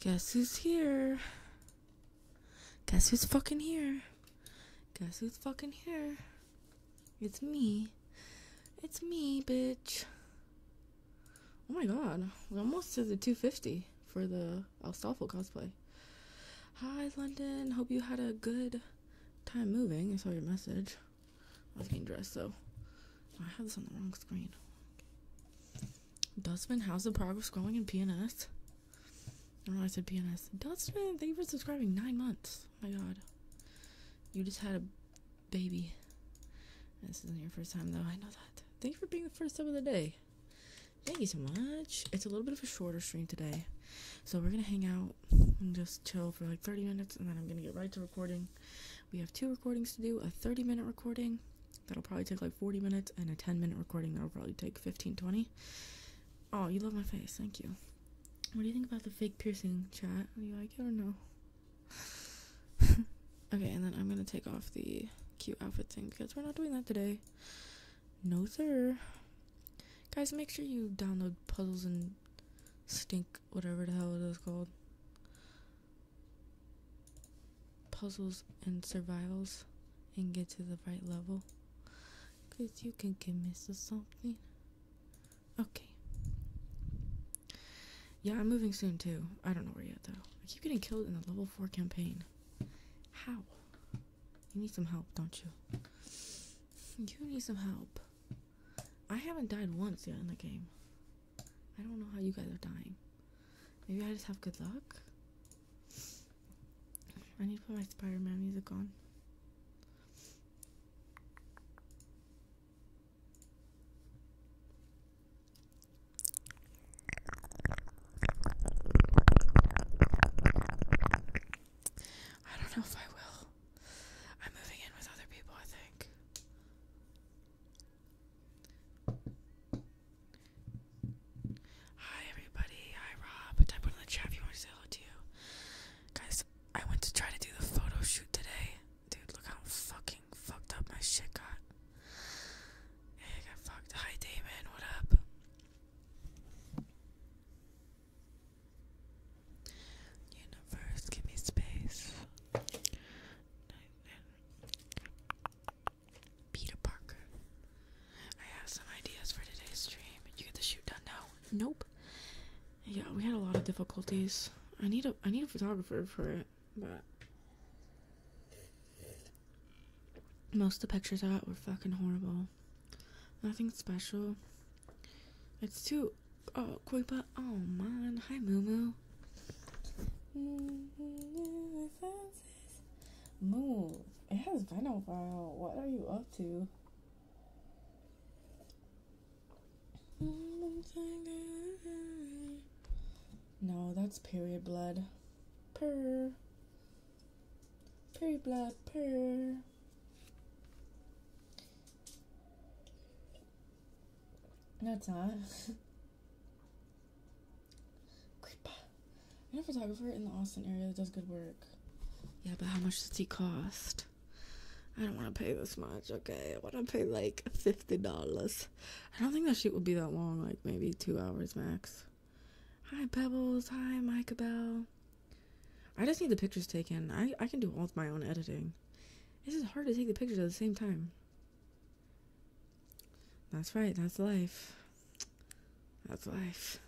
Guess who's here? Guess who's fucking here? Guess who's fucking here? It's me. It's me, bitch. Oh my god. We are almost to the 250 for the Alstolfo cosplay. Hi, London. Hope you had a good time moving. I saw your message. I was getting dressed, so I have this on the wrong screen. Dustman, how's the progress going in PNS? I do I said PNS. Dustin, thank you for subscribing. Nine months. my god. You just had a baby. This isn't your first time though, I know that. Thank you for being the first sub of the day. Thank you so much. It's a little bit of a shorter stream today. So we're gonna hang out and just chill for like 30 minutes and then I'm gonna get right to recording. We have two recordings to do, a 30 minute recording that'll probably take like 40 minutes and a 10 minute recording that'll probably take 15 20 Oh, you love my face. Thank you. What do you think about the fake piercing chat? Do you like it or no? okay, and then I'm gonna take off the cute outfit thing because we're not doing that today. No, sir. Guys, make sure you download puzzles and stink whatever the hell it is called. Puzzles and survivals and get to the right level. Cause you can convince us something. Okay. Yeah, I'm moving soon too. I don't know where yet though. I keep getting killed in the level four campaign. How? You need some help, don't you? You need some help. I haven't died once yet in the game. I don't know how you guys are dying. Maybe I just have good luck? I need to put my Spider Man music on. I don't know if I will. I'm moving in with other people, I think. Hi everybody, hi Rob. Type one in the chat if you want to say hello to you. Guys, I went to try to do the photo shoot today. Dude, look how fucking fucked up my shit got. Hey, I got fucked. Hi Damon, what up? Universe, give me space. Peter Parker. I have some ideas for today's stream. Did you get the shoot done now? Nope. Yeah, we had a lot of difficulties. I need a I need a photographer for it, but most of the pictures I got were fucking horrible. Nothing special. It's too oh Kuipa oh man. Hi Moo Moo. It has been a while. What are you up to? No, that's period blood. Purr. Period blood, purr. That's not. I know a photographer in the Austin area that does good work. Yeah, but how much does he cost? I don't want to pay this much, okay? I want to pay like $50. I don't think that shoot would be that long, like maybe two hours max. Hi, Pebbles. Hi, Micah Bell. I just need the pictures taken. I, I can do all of my own editing. It is is hard to take the pictures at the same time. That's right, that's life. That's life.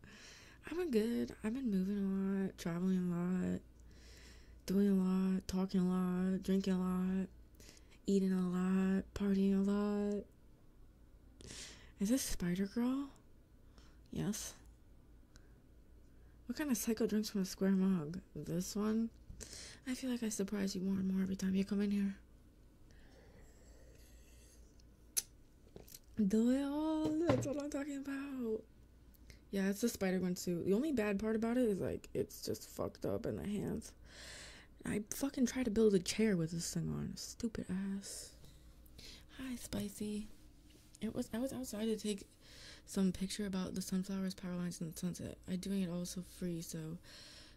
I've been good. I've been moving a lot, traveling a lot, doing a lot, talking a lot, drinking a lot, eating a lot, partying a lot. Is this Spider Girl? Yes. What kind of psycho drinks from a square mug? This one? I feel like I surprise you more and more every time you come in here. Do it all. That's what I'm talking about. Yeah, it's the Spider Gwen suit. The only bad part about it is like it's just fucked up in the hands. I fucking tried to build a chair with this thing on. Stupid ass. Hi, Spicy. It was I was outside to take some picture about the sunflowers, power lines, and the sunset. i doing it all so free, so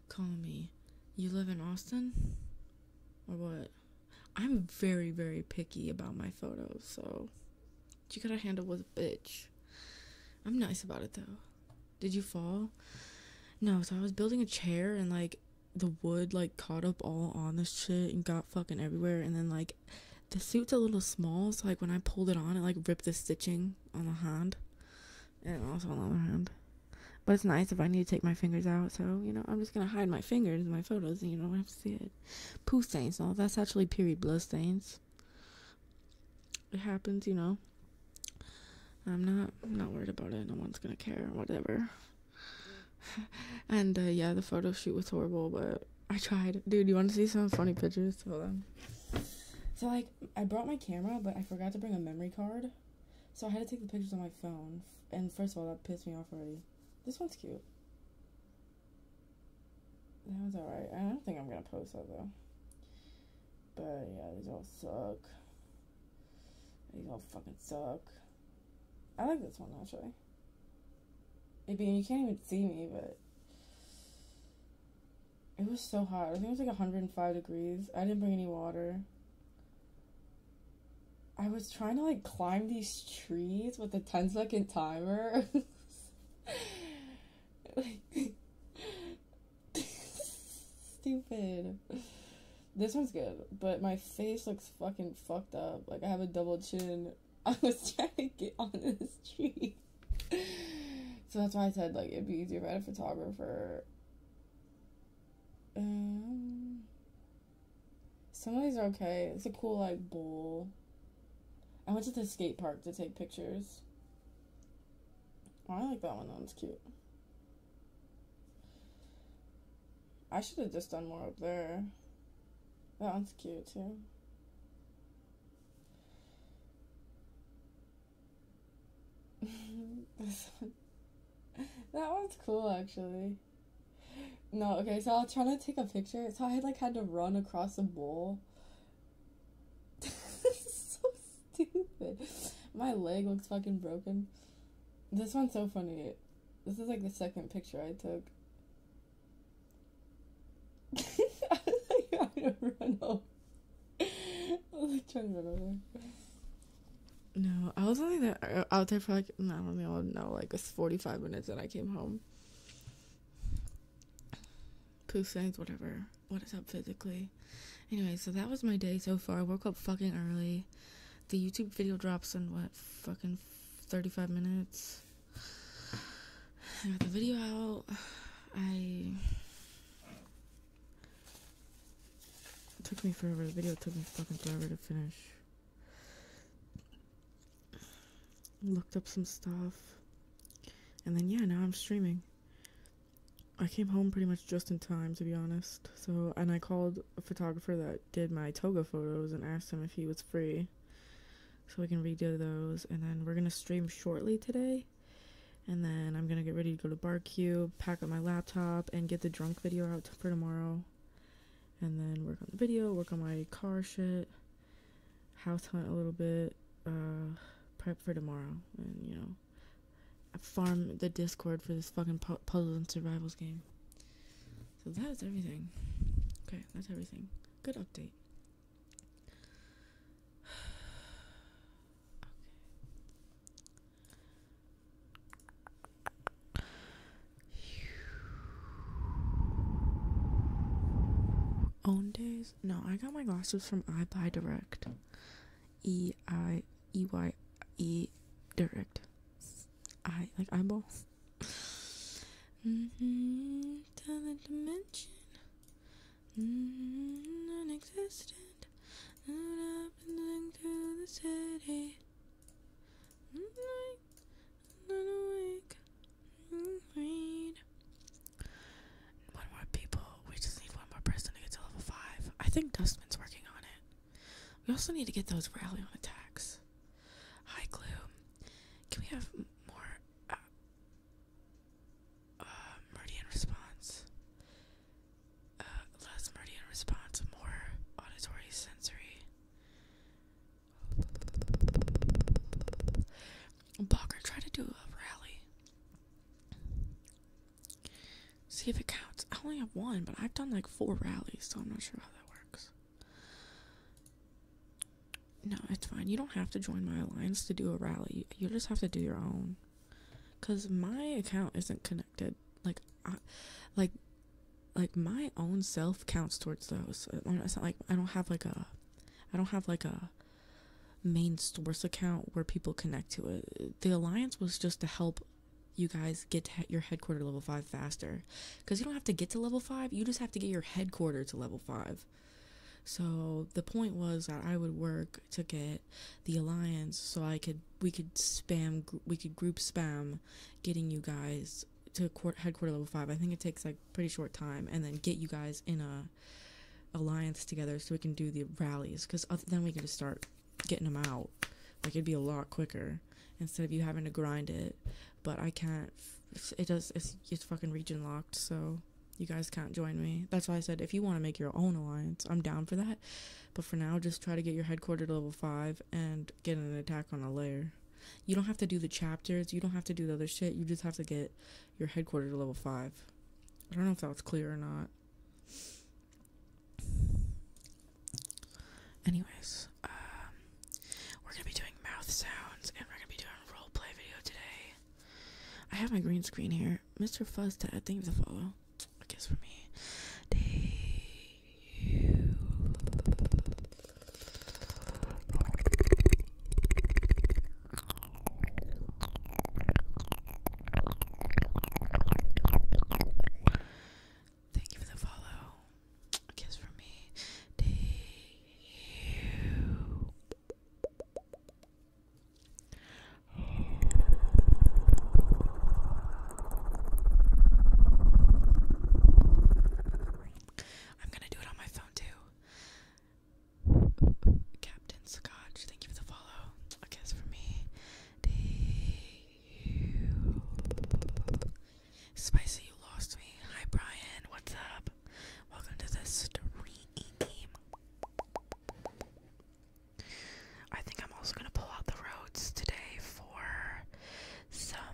call me. You live in Austin? Or what? I'm very, very picky about my photos, so you gotta handle with a bitch. I'm nice about it though. Did you fall? No, so I was building a chair and like the wood like caught up all on this shit and got fucking everywhere and then like the suit's a little small, so like when I pulled it on it like ripped the stitching on the hand and also on the other hand. But it's nice if I need to take my fingers out, so you know, I'm just gonna hide my fingers in my photos, you know, See it, said. Poo stains, no, that's actually period blood stains. It happens, you know. I'm not I'm not worried about it. No one's gonna care, whatever. and uh, yeah, the photo shoot was horrible, but I tried. Dude, you want to see some funny pictures? Hold on. So like, I brought my camera, but I forgot to bring a memory card, so I had to take the pictures on my phone. And first of all, that pissed me off already. This one's cute. That was alright. I don't think I'm gonna post that though. But yeah, these all suck. These all fucking suck. I like this one actually. I mean, you can't even see me, but it was so hot. I think it was like 105 degrees. I didn't bring any water. I was trying to like climb these trees with a 10 second timer. like stupid. This one's good, but my face looks fucking fucked up. Like I have a double chin. I was trying to get on this tree. so that's why I said like it'd be easier if I had a photographer. Um some of these are okay. It's a cool, like, bowl. I went to the skate park to take pictures. Oh, I like that one. That one's cute. I should have just done more up there. That one's cute, too. this one. That one's cool, actually. No, okay, so I was trying to take a picture, so I had, like had to run across a bowl. so stupid. My leg looks fucking broken. This one's so funny. This is like the second picture I took. I was like trying to run over. I was like trying to run over. No, I was only there, uh, out there for like I don't know, like 45 minutes and I came home. Poo things, whatever. What is up physically? Anyway, so that was my day so far. I woke up fucking early. The YouTube video drops in what, fucking 35 minutes? I got the video out. I. took me forever. The video took me fucking forever to finish looked up some stuff, and then yeah, now I'm streaming. I came home pretty much just in time, to be honest. So, and I called a photographer that did my toga photos and asked him if he was free, so we can redo those. And then we're gonna stream shortly today, and then I'm gonna get ready to go to Barcube, pack up my laptop, and get the drunk video out for tomorrow and then work on the video, work on my car shit, house hunt a little bit, uh, prep for tomorrow, and you know, farm the Discord for this fucking pu puzzles and survivals game. So that is everything. Okay, that's everything. Good update. okay. Own days? No, I got my glasses from I Buy Direct. E I E Y E Direct. I like eyeball. Mm-hmm. Another dimension. Mm-hmm. Non-existent. Not awake. Wait. One more people. We just need one more person to get to level five. I think Dustman's working on it. We also need to get those rally on attacks. Hi, Glue. Can we have more uh, uh, Meridian response? Uh, less Meridian response, more auditory sensory. Blocker, try to do a rally. See if it counts. I only have one, but I've done like four rallies, so I'm not sure how that works. No, it's fine. You don't have to join my alliance to do a rally. You just have to do your own. Cause my account isn't connected. Like, like like my own self counts towards those. like I don't have like a, I don't have like a main source account where people connect to it. The alliance was just to help you guys get to your headquarter level 5 faster because you don't have to get to level 5 you just have to get your headquarter to level 5 so the point was that i would work to get the alliance so i could we could spam we could group spam getting you guys to court, headquarter level five. I think it takes like pretty short time, and then get you guys in a alliance together so we can do the rallies. Because then we can just start getting them out. Like it'd be a lot quicker instead of you having to grind it. But I can't. It does. It's fucking region locked, so you guys can't join me. That's why I said if you want to make your own alliance, I'm down for that. But for now, just try to get your headquarter level five and get an attack on a layer. You don't have to do the chapters, you don't have to do the other shit, you just have to get your headquarters level 5. I don't know if that was clear or not. Anyways, um, we're gonna be doing mouth sounds and we're gonna be doing a play video today. I have my green screen here. Mr. Fuzz, I think to follow. I guess for me. Day Thank you for the follow. kiss from me. To you. I'm gonna do it on my phone too. Captain Scotch, thank you for the follow. A kiss for me. You... Spicy, you lost me. Hi, Brian. What's up? Welcome to the stream. I think I'm also gonna pull out the roads today for some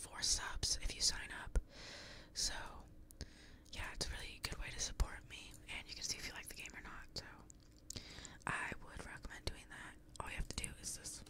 four subs if you sign up. So, yeah, it's a really good way to support me, and you can see if you like the game or not. So, I would recommend doing that. All you have to do is this.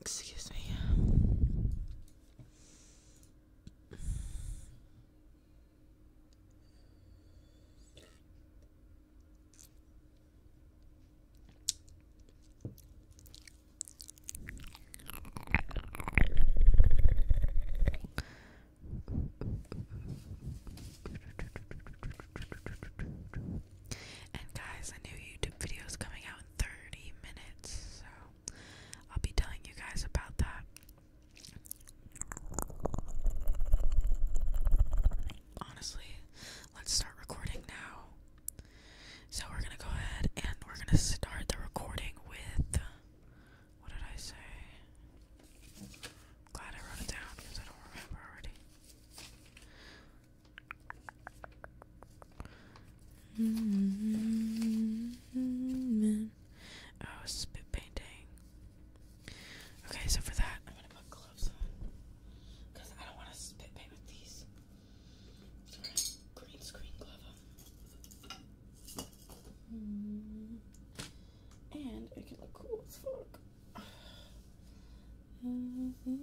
Excuse me. And guys, a new YouTube video is coming out 30 minutes, so I'll be telling you guys about that. Honestly, let's start recording now. So we're gonna go ahead and we're gonna start the recording with what did I say? glad I wrote it down because I don't remember already. Mm-hmm. Oh, spit painting. Okay, so for that, I'm gonna put gloves on because I don't want to spit paint with these. green screen glove mm-hmm. And it can look cool as fuck. Mm-hmm.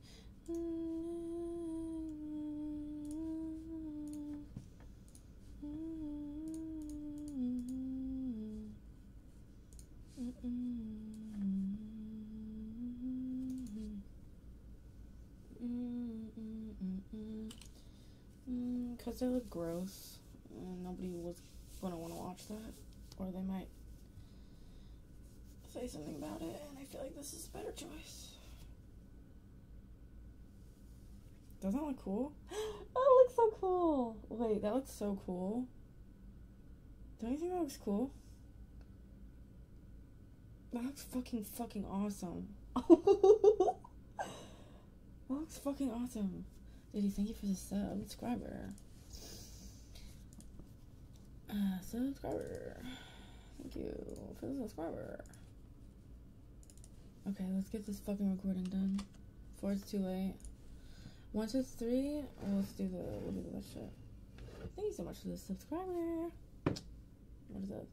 Because mm, they look gross, and nobody was going to want to watch that. Or they might say something about it, and I feel like this is a better choice. Doesn't look cool? oh, it looks so cool. Wait, that looks so cool. Don't you think that looks cool? That looks fucking fucking awesome. that looks fucking awesome. Dude, thank you for the Subscriber. Uh, subscriber. Thank you for the subscriber. Okay, let's get this fucking recording done. Before it's too late. Once it's three, well, let's do the we'll do that shit. Thank you so much for the subscriber. What is that?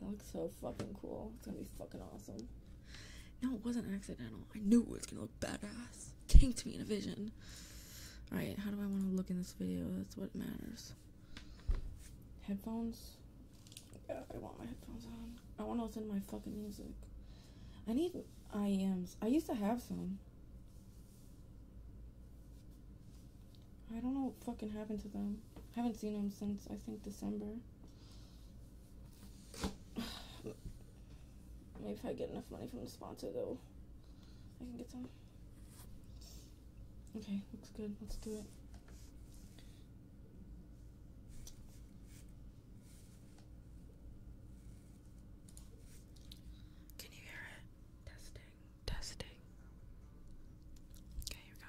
That looks so fucking cool. It's gonna be fucking awesome. No, it wasn't accidental. I knew it was gonna look badass. to me in a vision. Alright, how do I wanna look in this video? That's what matters headphones. I want my headphones on. I want to listen to my fucking music. I need Iams. I used to have some. I don't know what fucking happened to them. I haven't seen them since I think December. Maybe if I get enough money from the sponsor, though, I can get some. Okay, looks good. Let's do it. Can you hear it? Testing, testing. Okay, here we go.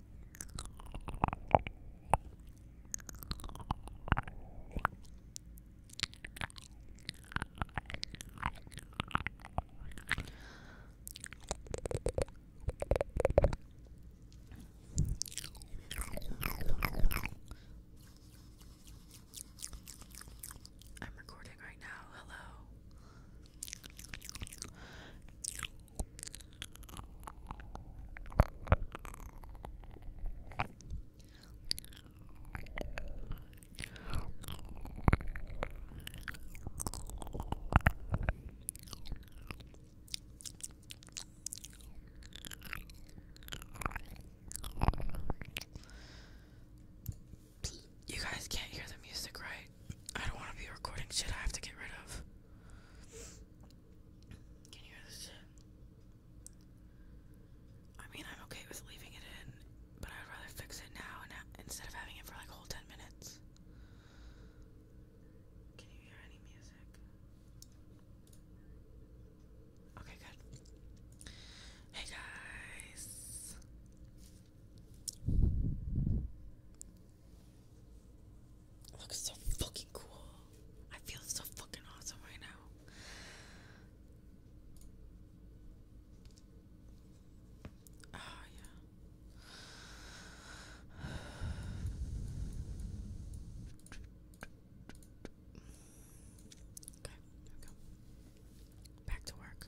I'm recording right now. Hello. You guys can't hear the music, right? I don't want to be recording shit I have to get rid of. Can you hear this I mean, I'm okay with leaving it in, but I'd rather fix it now instead of having it for like a whole 10 minutes. Can you hear any music? Okay, good. Hey guys looks so fucking cool. I feel so fucking awesome right now. Oh, yeah. Okay, there we go. Back to work.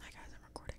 Hi guys, I'm recording.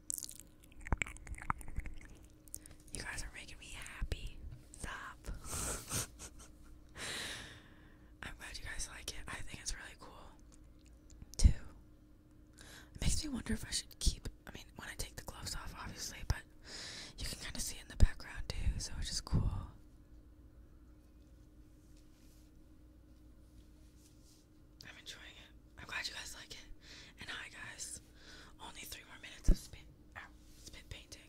You guys are making me happy. Stop. I'm glad you guys like it. I think it's really cool. Too. It makes me wonder if I should keep. I mean, when I take the gloves off, obviously, but you can kind of see in the background too, so it's just cool. I'm enjoying it. I'm glad you guys like it. And hi guys. Only three more minutes of spit spit painting.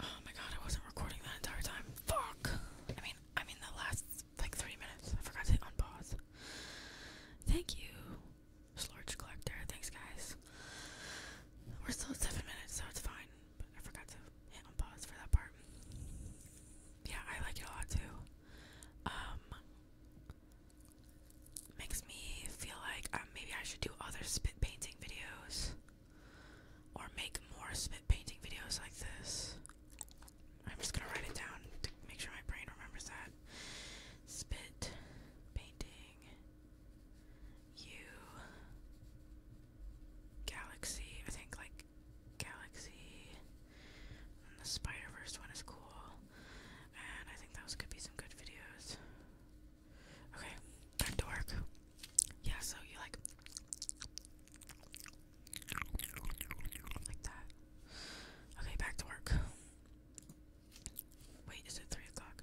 Oh my god, I wasn't recording that entire time. Fuck! I mean, the last like three minutes. I forgot to unpause. Thank you, Sludge Collector. Thanks, guys. We're still seven minutes, so it's fine. But I forgot to hit unpause for that part. Yeah, I like it a lot too. Um, makes me feel like um, maybe I should do other spit painting videos or make more spit painting videos like this. I'm just gonna write it down to make sure my brain remembers that. Spit painting you galaxy. I think like galaxy. the Spider Verse one is cool, and I think those could be some good videos. Okay, back to Yeah, so you like like that. Okay, back to work. Wait, is it three o'clock?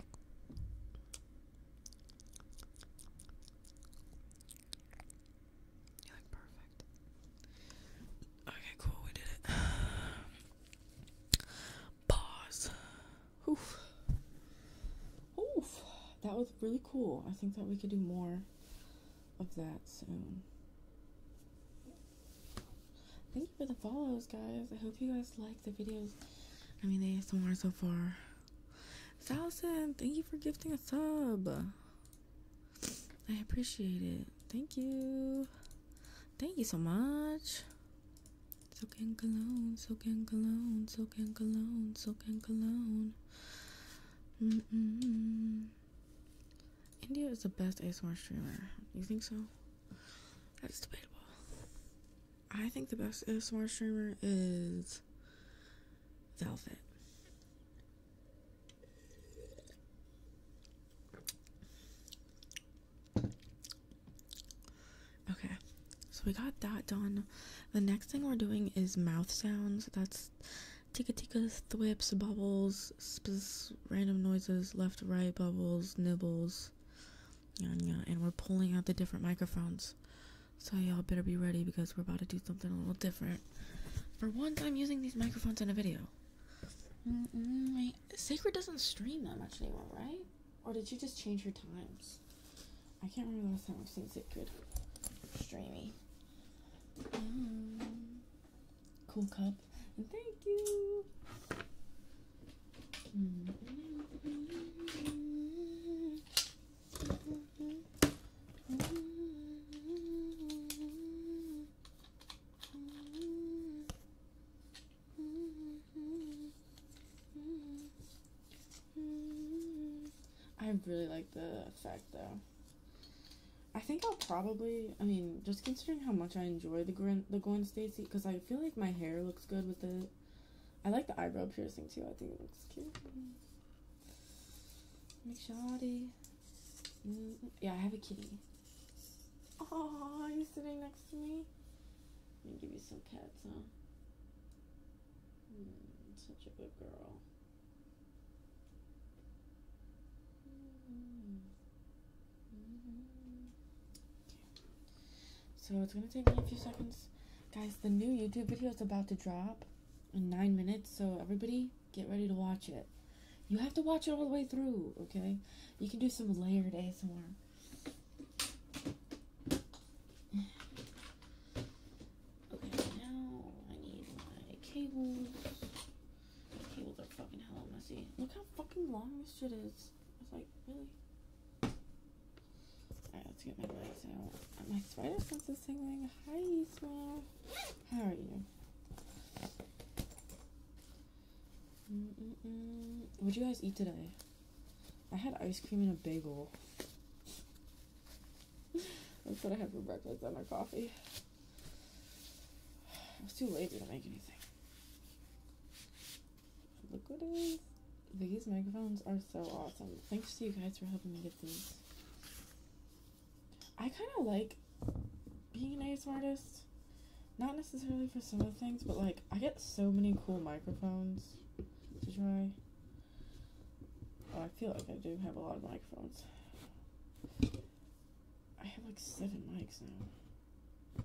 You look perfect. Okay, cool, we did it. Pause. Oof. Oof. That was really cool. I think that we could do more of that soon. Thank you for the follows, guys. I hope you guys like the videos. I mean, they some more so far. Thousand, thank you for gifting a sub. I appreciate it. Thank you. Thank you so much. So can cologne, so can cologne, so can cologne, so can cologne. Mm India is the best ASMR streamer. You think so? That's debatable. I think the best ASMR streamer is Velvet. Okay, so we got that done. The next thing we're doing is mouth sounds. That's tika tikas, thwips, bubbles, random noises, left, right, bubbles, nibbles, and we're pulling out the different microphones. So y'all better be ready because we're about to do something a little different. For once, I'm using these microphones in a video. Sacred doesn't stream that much anymore, right? Or did you just change your times? I can't remember the last time I've seen Sacred streamy. Mm. cool cup. and Thank you. I really like the effect though. I think I'll probably, I mean, just considering how much I enjoy the going, the Gwen Stacy, because I feel like my hair looks good with it. I like the eyebrow piercing too. I think it looks cute. McShoddy. Mm, mm-hmm. yeah, I have a kitty. Oh, you are sitting next to me? Let me give you some pets, huh? Hmm, such a good girl. Hmm. Mm-hmm. So it's gonna take me a few seconds. Guys, the new YouTube video is about to drop in nine minutes, so everybody get ready to watch it. You have to watch it all the way through, okay? You can do some layered ASMR. Okay, now I need my cables. cables are fucking hella messy. Look how fucking long this shit is was like, really? Alright, let's get my legs out. My spider senses tingling. Hi, Isma. How are you? Mm -mm -mm. What'd you guys eat today? I had ice cream and a bagel. That's what I had for breakfast and my coffee. It was too lazy to make anything. Look what it is. These microphones are so awesome. Thanks to you guys for helping me get these. I kind of like being an ASMR artist. Not necessarily for some of the things, but like I get so many cool microphones to try. Oh, I feel like I do have a lot of microphones. I have like seven mics now.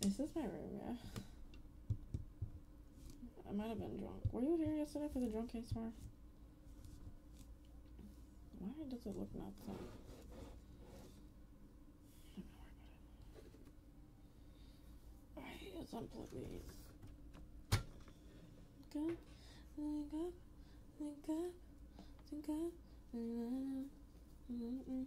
This Is my room? Yeah. I might have been drunk. Were you here yesterday for the drunk case tomorrow? Why does it look not the I hate unplug Think up, think up, think up, think up.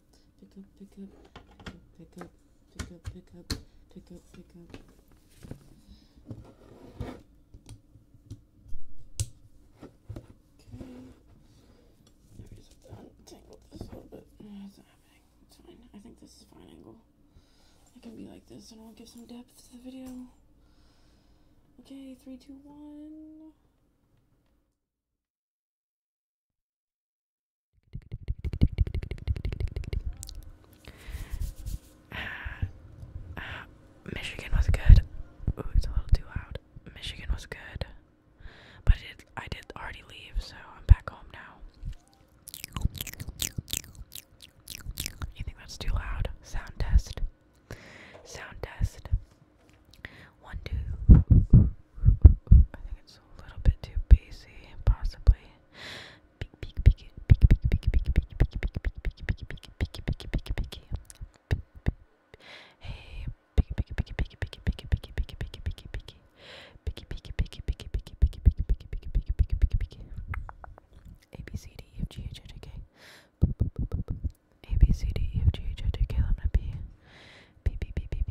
pick up, pick up, pick up, pick up, pick up, pick up, pick up, pick up. Okay. Maybe just untangle this a little bit. No, it's not happening. It's fine. I think this is a fine angle. It can be like this and it'll give some depth to the video. Okay, three, two, one. Michigan was good. Ooh, it's a little too loud. Michigan was good, but I did, I did already leave, so I'm back home now. You think that's too loud? Sound test. Sound test. One, two. I think it's a little bit too bassy, possibly. Hey, A B C D E F G H I J K. A B C D E F G H I J K L M N P. B B B B B.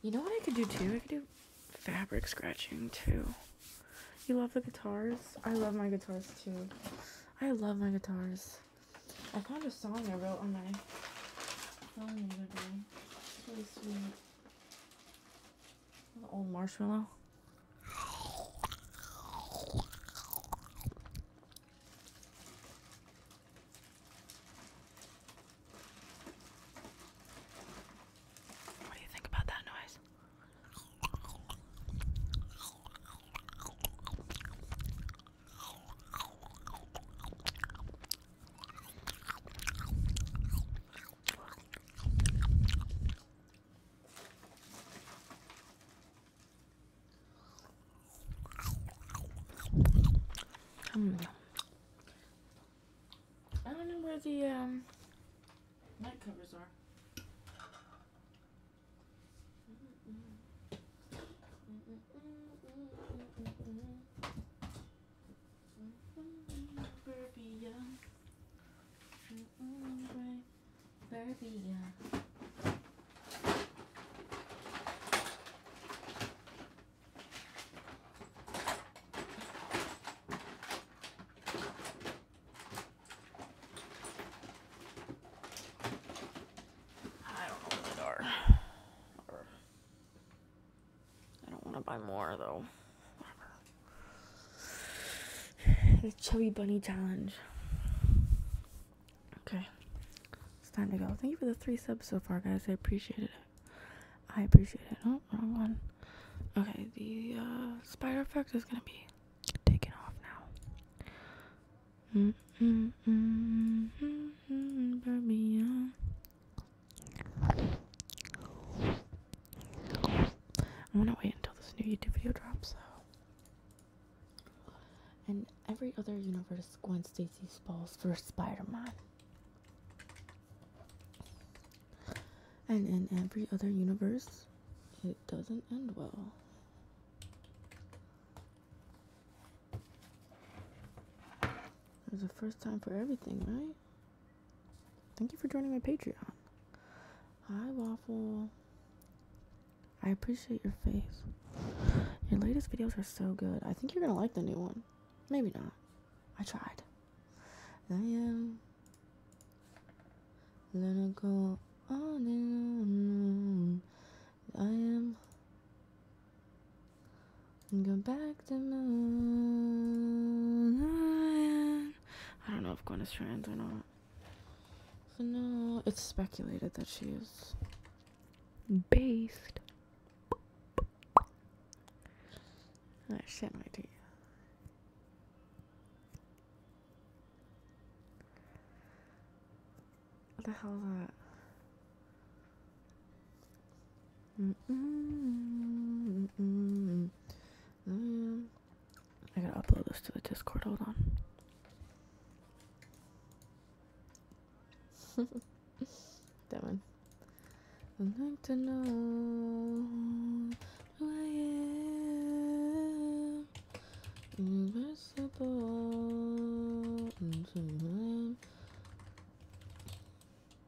You know what I could do too? I could do fabric scratching too. You love the guitars? I love my guitars too. I love my guitars. I found a song I wrote on my the old marshmallow. What do you think about that noise? Um, I don't know where the um, night covers are. Mm -mm. Mm I don't know what they are. I don't want to buy more though. Whatever. The Chubby Bunny Challenge. Okay. It's time to go. Thank you for the three subs so far, guys. I appreciate it. I appreciate it. Oh, wrong one. Okay, the uh, spider effect is going to be taken off now. Mm-mm-mm-mm-mm, I'm gonna wait until this new YouTube video drops, though. And every other universe, Gwen Stacy falls for Spider-Man. And in every other universe, it doesn't end well. There's a first time for everything, right? Thank you for joining my Patreon. Hi, Waffle. I appreciate your faith. Your latest videos are so good. I think you're gonna like the new one. Maybe not. I tried. I am gonna go on and on. I am go back to moon. I don't know if Gwen is trans or not. So no, it's speculated that she is based. I ah, shit my teeth. What the hell is that? Mm, I gotta upload this to the Discord. Hold on. that one.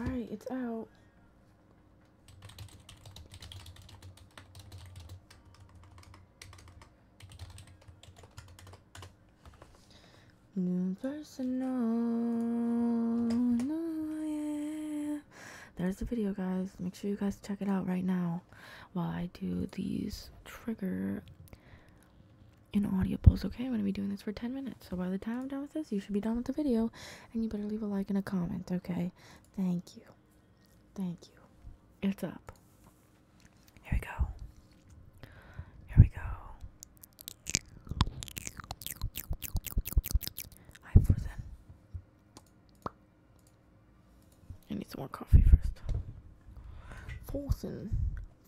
All right, it's out. There's the video, guys. Make sure you guys check it out right now while I do these trigger in audibles. Okay, I'm going to be doing this for 10 minutes. So by the time I'm done with this, you should be done with the video. And you better leave a like and a comment. Okay, thank you. Thank you. It's up. Here we go. Here we go. I've frozen. I need some more coffee first. Frozen.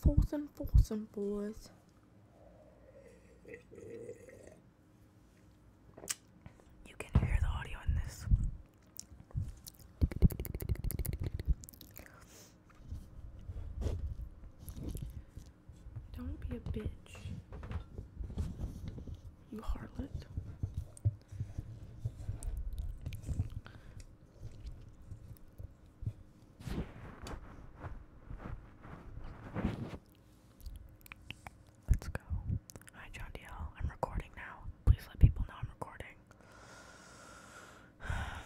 Frozen, frozen, boys. You can hear the audio in this. Don't be a bitch. You harlot. Let's go. Hi, John DL. I'm recording now. Please let people know I'm recording.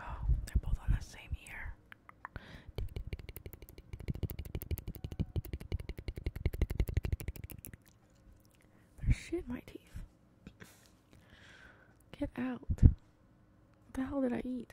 Oh, they're both on the same year shit in my teeth. Get out. What the hell did I eat?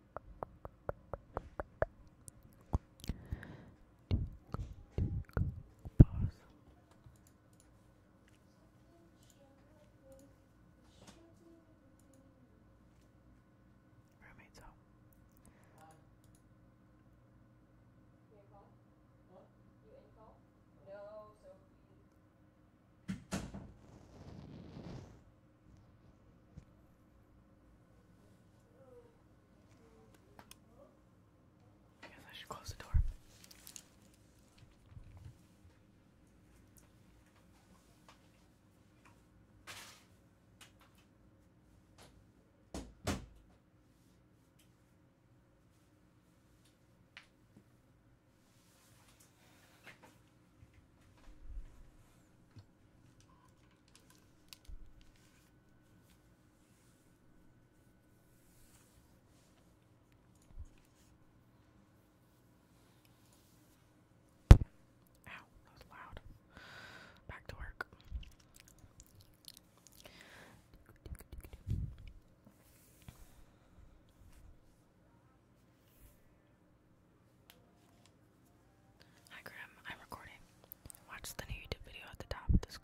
Pause. Roommate's home. You in call? Huh? You in call? No, so I guess I should close the door. Ow, that was loud. Back to work. Hi Grim, I'm recording. Watch the new YouTube video at the top of the screen.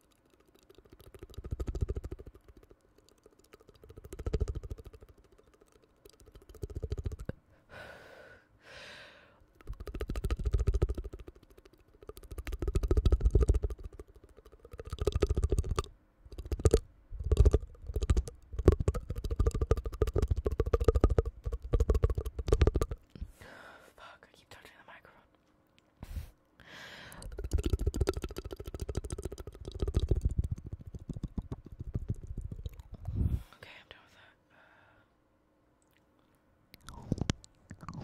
Fuck, I keep touching the microphone. Okay, I'm done with that. Uh...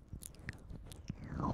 That's loud.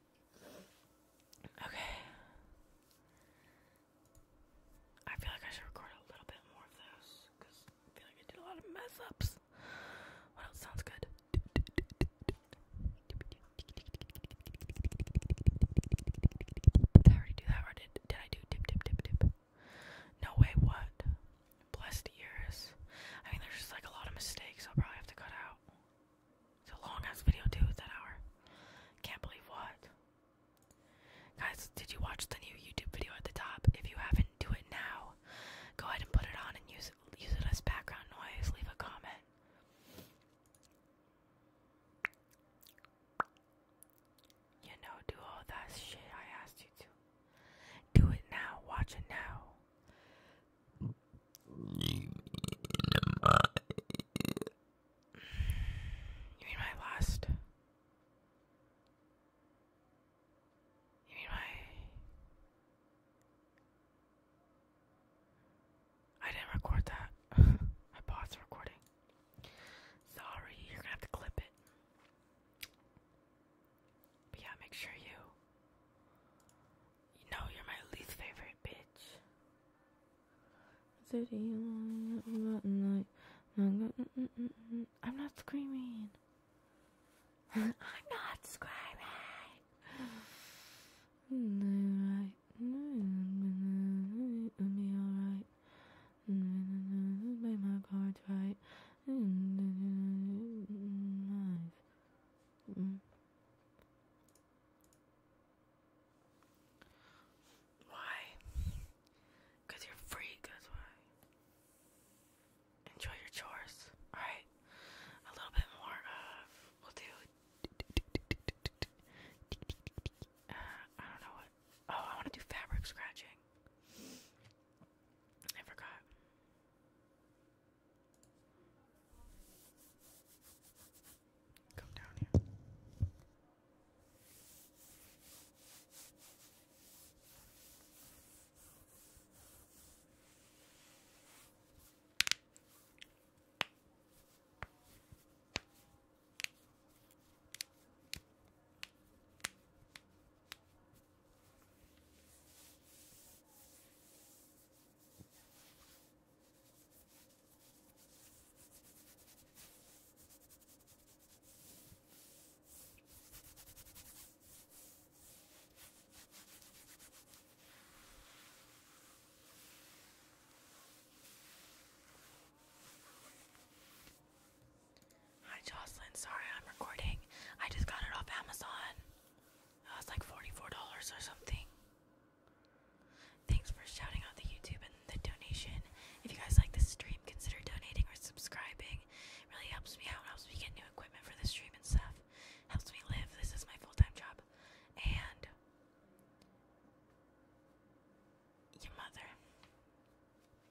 Okay. I feel like I should record a little bit more of those because I feel like I did a lot of mess ups. What else sounds good? Did I already do that or did, did I do dip, dip, dip, dip? No way, what? Blessed ears. I mean, there's just like a lot of mistakes I'll probably have to cut out. It's a long ass video too, that hour. Can't believe what. Guys, did you watch the new YouTube video at the top? If you haven't, do it now. Go ahead and put it on and use it, use it as background noise. Leave a comment. You know, do all that shit I asked you to. Do it now. Watch it now. You mean my last? You mean my. I didn't record that. I paused recording. Sorry, you're gonna have to clip it. But yeah, make sure you. You know you're my least favorite bitch. I'm not screaming. I'm not screaming. It'll be alright. Make my cards right. Mm. Why? Because you're freak, that's why. Enjoy your chores, alright? A little bit more of, we'll do, uh, I don't know what, oh, I want to do fabric scratching. I forgot. Come down here. Hi Jocelyn, sorry I'm recording. I just got it off Amazon. Uh, it was like $44 or something. Thanks for shouting out the YouTube and the donation. If you guys like the stream, consider donating or subscribing. It really helps me out, helps me get new equipment for the stream and stuff. Helps me live. This is my full time job. And your mother.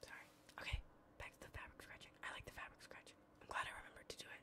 Sorry. Okay, back to the fabric scratching. I like the fabric scratching. I'm glad I remembered to do it.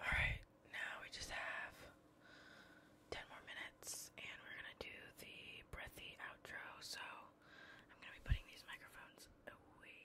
Alright, now we just have 10 more minutes and we're gonna do the breathy outro. So I'm gonna be putting these microphones away.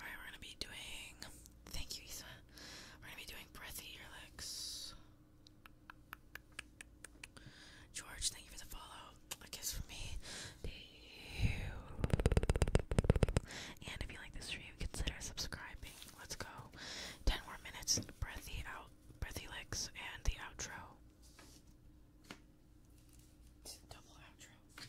Alright, we're gonna be doing. Thank you, Ethan. We're gonna be doing breathy earlicks. George, thank you for the follow. A kiss from me to you. And if you like this stream, consider subscribing. Let's go. Ten more minutes. Breathy out. Breathy licks and the outro. Double outro.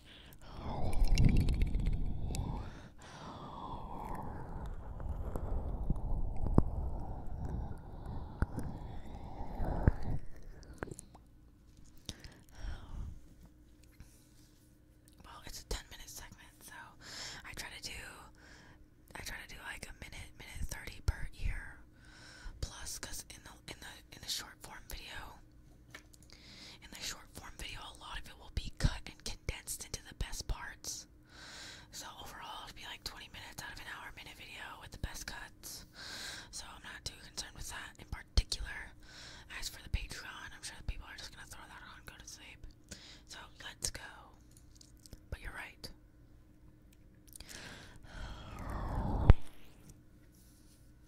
Well, it's a 10 minute segment, so I try to do I try to do like a minute, minute 30 per year plus in the in the in the short form video in the short form video, a lot of it will be cut and condensed into the best parts. So overall, it'll be like 20 minutes out of an hour minute video with the best cuts. So I'm not too concerned with that in particular. As for the Patreon, I'm sure the people are just gonna throw that on go to sleep. So let's go. But you're right.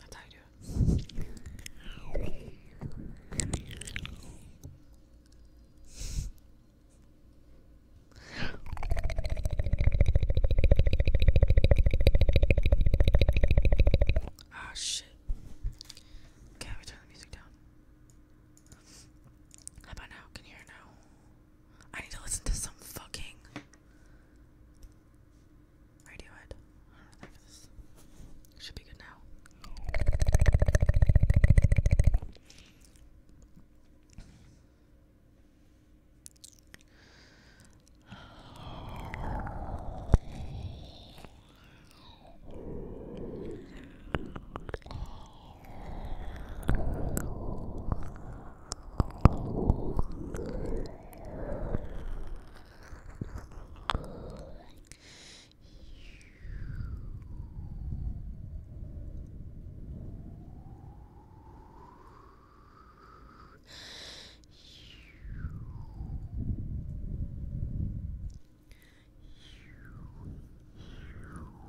That's ah, shit. Okay, we turn the music down. How about now? Can hear now? I need to listen to some fucking Radiohead. I don't know for this. Should be good now. Far further off here. Wrong.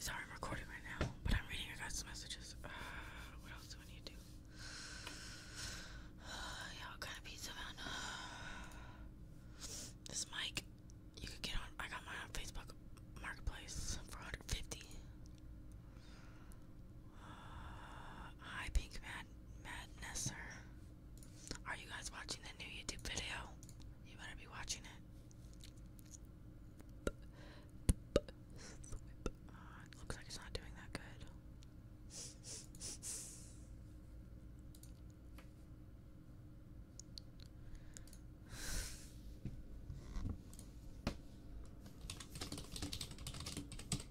Sorry, I'm recording right now, but I'm reading your guys' messages. Uh, what else do I need to do? Uh, yeah, what kind of pizza, this mic, you could get on. I got mine on Facebook Marketplace for Hi, Pink Madnesser. Are you guys watching the new YouTube video? You better be watching it. it looks like it's not doing that good.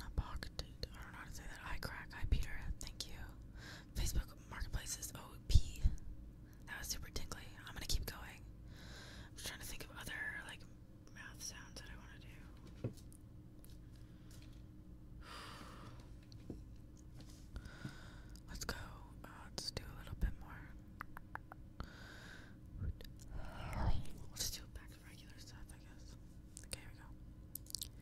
Not pocketed. I don't know how to say that. Eye crack. Hi, Peter. Thank you. Facebook Marketplace OP. That was super tinkly. I'm gonna keep going. I'm just trying to think of other like mouth sounds that I want to do. Let's go. let's uh, do a little bit more. We'll just do back to regular stuff, I guess. Okay, we go.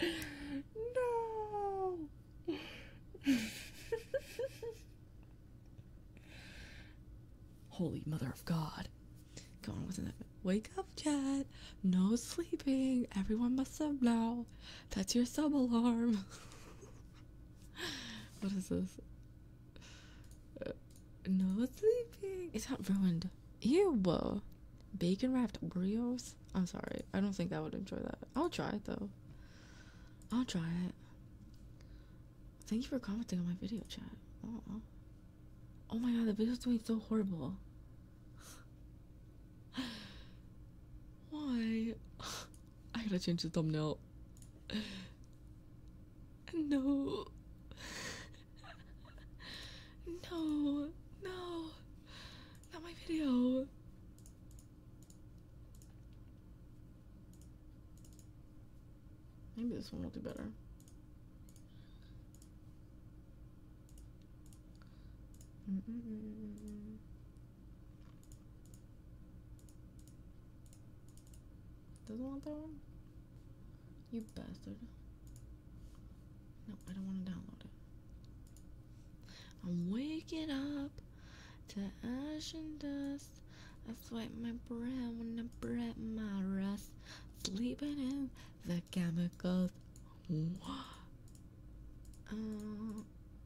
no. Holy Mother of God. Go on, wasn't it? Wake up, chat. No sleeping. Everyone must sub now. That's your sub alarm. what is this? Uh, no sleeping. It's not ruined. Yeah, Ew. Bacon wrapped Oreos? I'm sorry. I don't think I would enjoy that. I'll try it though. I'll try it. Thank you for commenting on my video chat. Oh, my god, the video's doing so horrible. Why? I gotta change the thumbnail. No. no. No. Not my video. Maybe this one will do better. Doesn't want that one? You bastard. No, I don't want to download it. I'm waking up to ash and dust. I swipe my brow when I breath my rest. Sleeping in the chemicals. Um,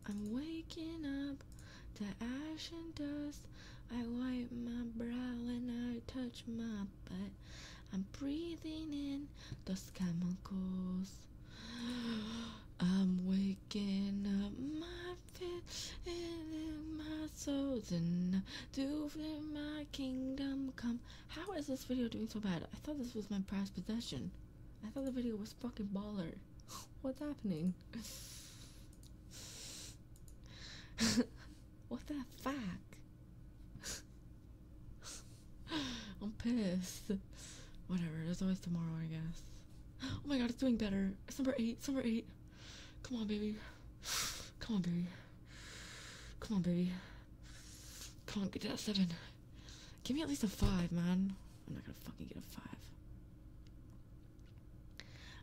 I'm waking up to ash and dust. I wipe my brow and I touch my butt. I'm breathing in the chemicals. I'm waking up my fit and my soul's enough to feel my kingdom come. How is this video doing so bad? I thought this was my prized possession. I thought the video was fucking baller. What's happening? what the fuck? I'm pissed. Whatever, there's always tomorrow, I guess. Oh my god, it's doing better. It's number eight, it's number eight. Come on, baby. Come on, baby. Come on, baby. Come on, get to that seven. Give me at least a five, man. I'm not gonna fucking get a five.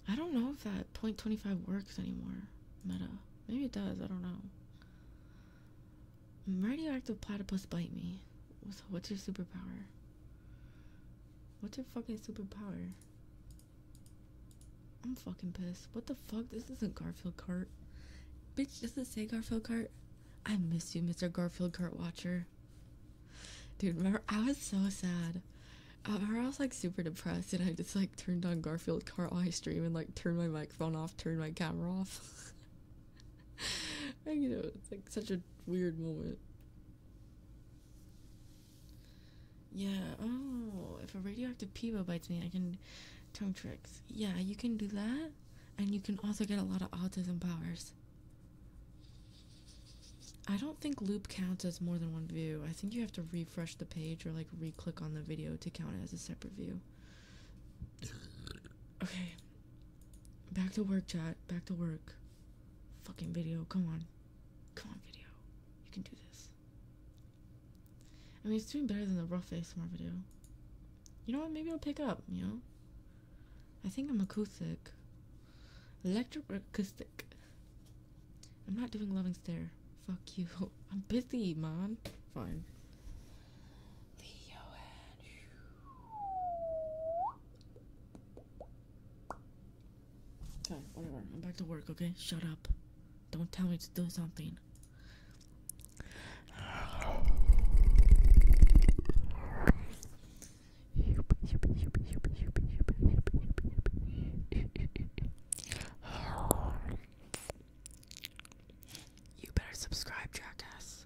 I don't know if that .25 works anymore. Meta. Maybe it does. I don't know. Radioactive platypus bite me. what's your superpower? What's your fucking superpower? I'm fucking pissed. What the fuck? This isn't Garfield cart. Bitch, does it say Garfield cart? I miss you, Mr. Garfield Cart Dude, remember I was so sad. I was like super depressed and I just like turned on Garfield Cart while I stream and like turned my microphone off, turned my camera off. and, you know, it's like such a weird moment. Yeah, oh, if a radioactive Peebo bites me, I can tongue tricks. Yeah, you can do that and you can also get a lot of autism powers. I don't think loop counts as more than one view. I think you have to refresh the page or like re click on the video to count it as a separate view. Okay. Back to work, chat. Back to work. Fucking video. Come on. Come on, video. You can do this. I mean, it's doing better than the rough ASMR video you know what? Maybe I'll pick up, you know? I think I'm acoustic. Electric acoustic. I'm not doing loving stare. Fuck you. I'm busy, man. Fine. Okay, whatever. I'm back to work, okay? Shut up. Don't tell me to do something. You better subscribe, jackass.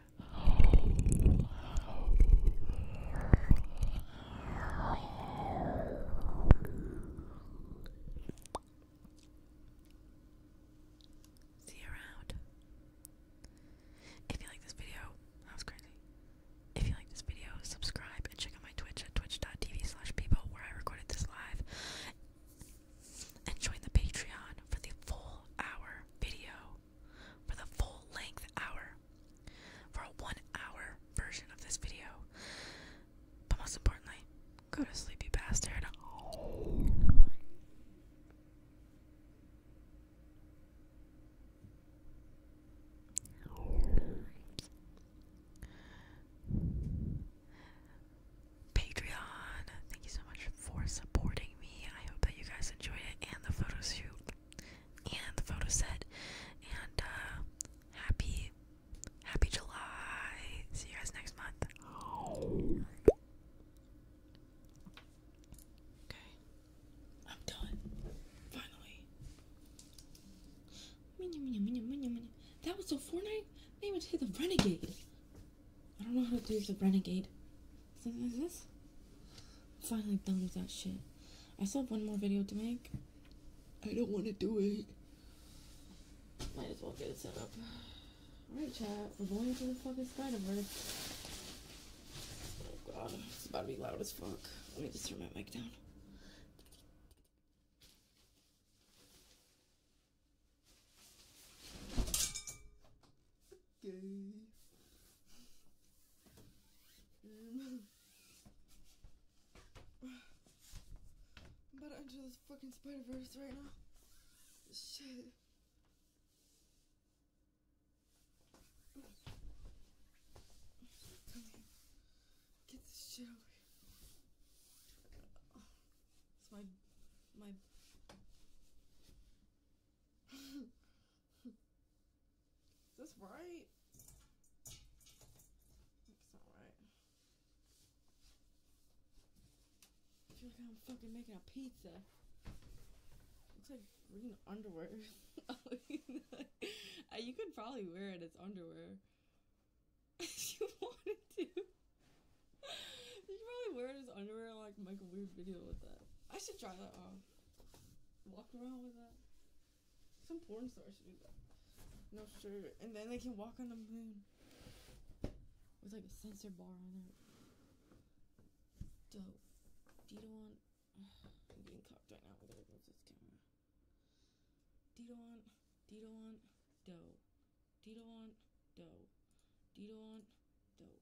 See you around. If you like this video, that was crazy. If you like this video, subscribe and check out my Twitch at twitch.tv people where I recorded this live and join the Patreon for the full hour video, for the full length hour, for a one hour version of this video. But most importantly, go to sleep, you bastard. Patreon. Thank you so much for supporting me. I hope that you guys enjoy it and the photo shoot and the photo set. And uh, happy, happy July. See you guys next month. Okay, I'm done. Finally. That was so Fortnite. They even hit the renegade. I don't know how to do the renegade. Something like this. finally done with that shit. I still have one more video to make. I don't want to do it. Might as well get it set up. Alright, chat. We're going to the fucking Spider-Verse. Oh god, it's about to be loud as fuck. Let me just turn my mic down. Okay. Um, I'm about to enter this fucking Spider Verse right now. Shit. Come here. Get this shit over It's my. my. Is this right? It's not right. I feel like I'm fucking making a pizza. Looks like green underwear. you could probably wear it as underwear. if you wanted to. you can probably wear his underwear and, like make a weird video with that. I should try that on. Um, walk around with that. Some porn stars should do that. No shirt. And then they can walk on the moon. With like a sensor bar on it. Dope. Dito on I'm getting cocked right now with I move this camera. Dito on Dito on dough. Dito on dough. Dito on dough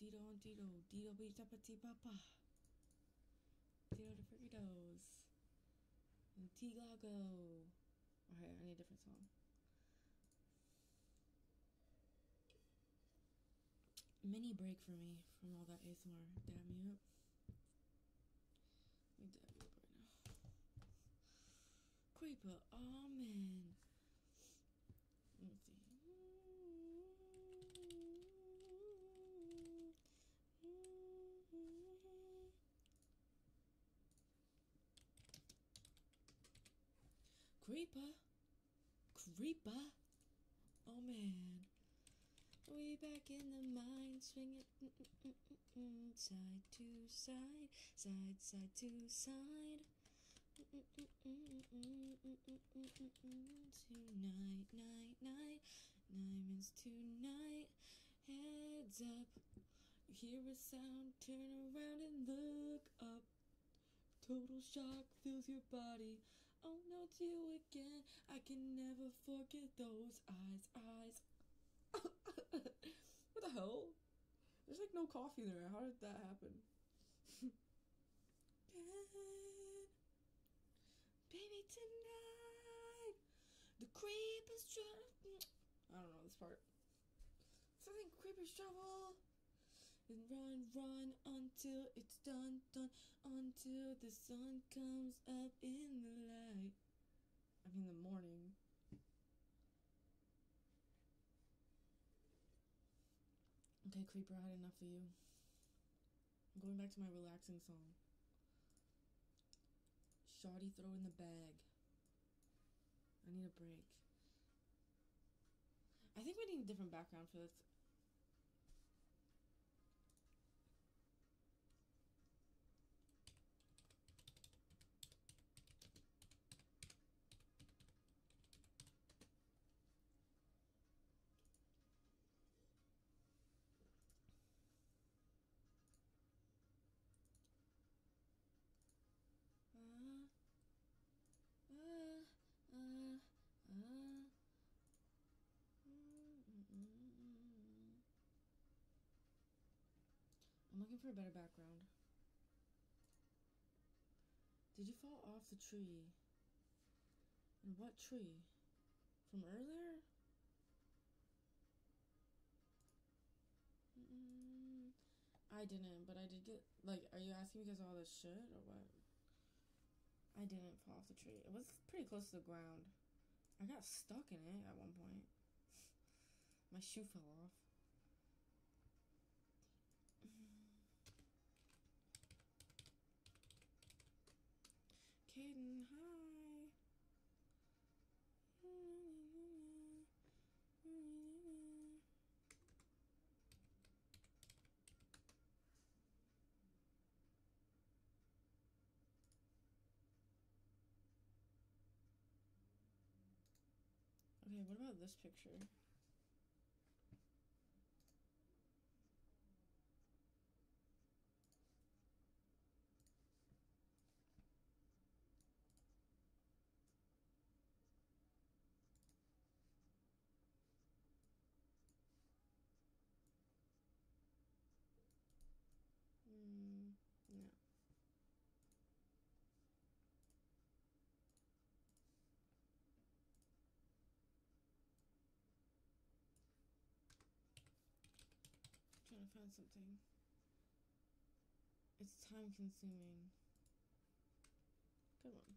Dido and Dido, Dido Bita Pati Papa, Dido the Fritos, and Tilago. Okay, I need a different song. Mini break for me from all that ASMR. Damn you up. Let me dab you up right now. Creeper, oh man. Creeper. Creeper. Oh man. We back in the mine, swing side to side, side side to side. Tonight, night, night, diamonds tonight. Heads up, you hear a sound, turn around and look up. Total shock fills your body. Oh no, it's you again. I can never forget those eyes, eyes. what the hell? There's like no coffee in there. How did that happen? Baby, tonight, the creep is travel. I don't know this part. Something creepers travel. And run, run until it's done, done, until the sun comes up in the light. I mean, the morning. Okay, Creeper, I had enough of you. I'm going back to my relaxing song. Shoddy throw in the bag. I need a break. I think we need a different background for this. Uh, uh, uh, mm, mm, I'm looking for a better background. Did you fall off the tree? And what tree? From earlier? I didn't, but I did get. Like, are you asking because all this shit or what? I didn't fall off the tree. It was pretty close to the ground. I got stuck in it at one point. My shoe fell off. Caden, hi. Okay, what about this picture? Mm, no trying to find something. It's time consuming. Good one.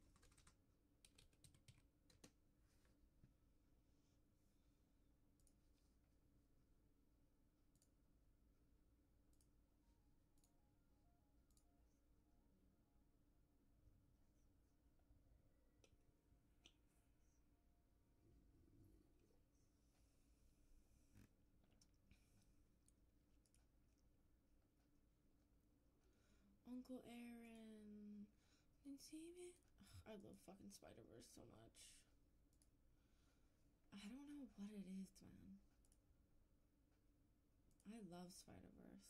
Uncle Aaron. Ugh, I love fucking Spider Verse so much. I don't know what it is, man. I love Spider Verse.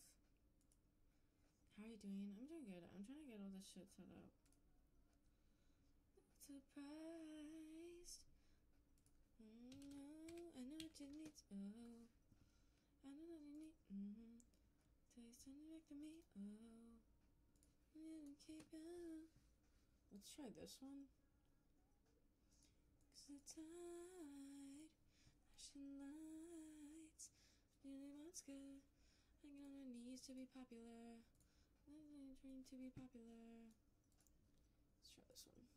How are you doing? I'm doing good. I'm trying to get all this shit set up. surprised. Mm-hmm. I know what you need. Oh, I know what you need. hmm Taste something back to me. Oh, you keep on. Let's try this one. Nearly Mosca. Hanging on her knees to be popular. Dream to be popular. Let's try this one.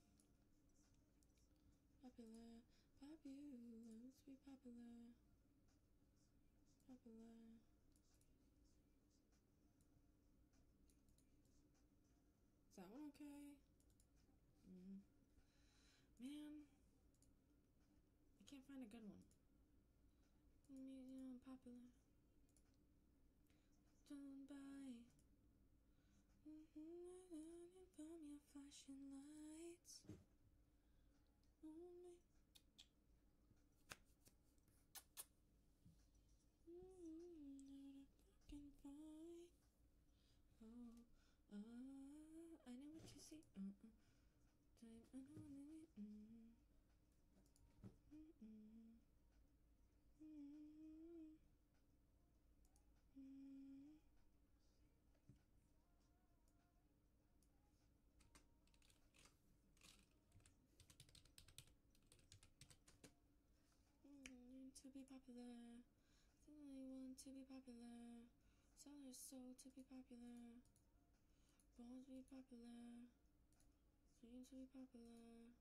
Popular, popular, let be popular. Popular. Is that one okay? Mm. Man, I can't find a good one. Museum Don't buy. From your flashing lights. Only. Mm, not a fucking fight. Oh, uh, I know what you see. Mm-hmm. Mm-hmm. Mm-hmm. to be popular, I want to be popular, sell her soul to be popular. Born be popular. Dream be popular.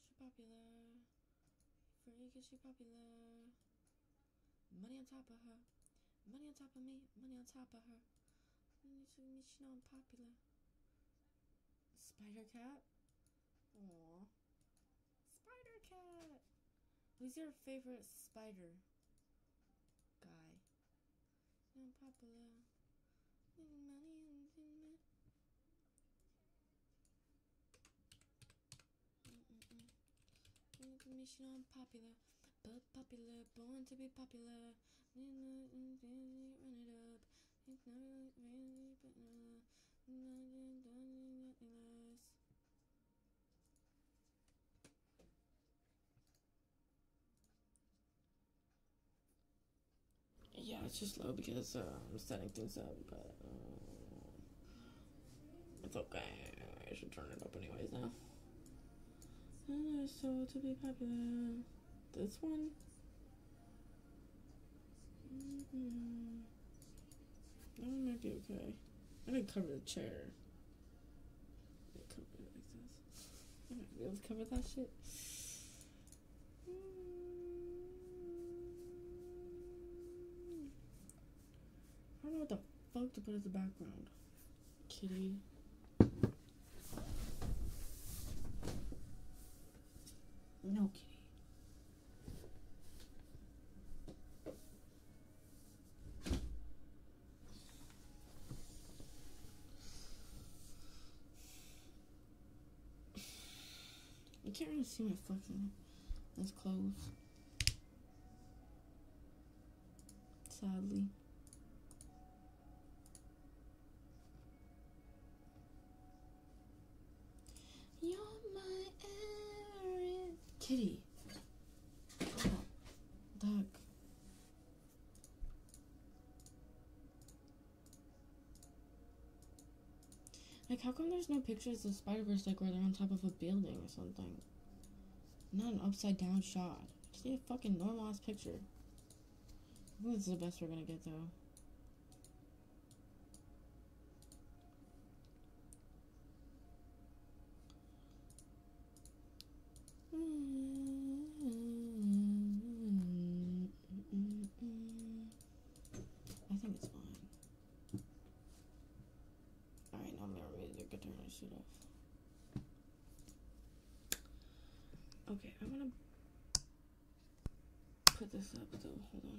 She popular. Freak she popular. Money on top of her. Money on top of me. Money on top of her. Money to me, she I'm popular. Spider Cat? Aww. Spider Cat! Who's your favorite spider guy? Not popular. Money and Mm-mm-mm. Information unpopular, but popular, born to be popular. Run it up. It's not really, but no. Nothing, nothing, nothing less. Yeah, it's just low because uh, I'm setting things up, but uh, it's okay. I should turn it up anyways now. And uh, so to be popular, this one. Mm -hmm. That might be okay. I didn't cover the chair. I'm not gonna be able to cover that shit. Mm. I don't know what the fuck to put as the background. Kitty. No kitty. I can't really see my fucking. That's close. Sadly. You're my Kitty. duck. Like, how come there's no pictures of Spider Verse like where they're on top of a building or something? Not an upside down shot. just a fucking normal ass picture. I think this is the best we're gonna get though. I think it's fine. Alright, now I'm gonna really get turn this shit off. Okay, I'm gonna put this up though. Hold on.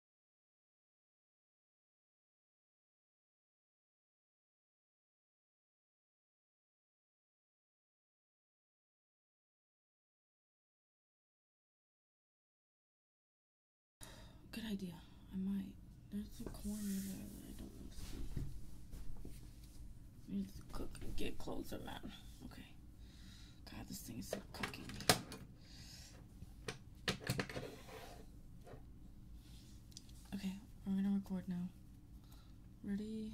Good idea. I might. There's a corner there that I don't want to see. I need cook and get closer, man. Okay. God, this thing is so cooking Okay, I'm gonna record now. Ready?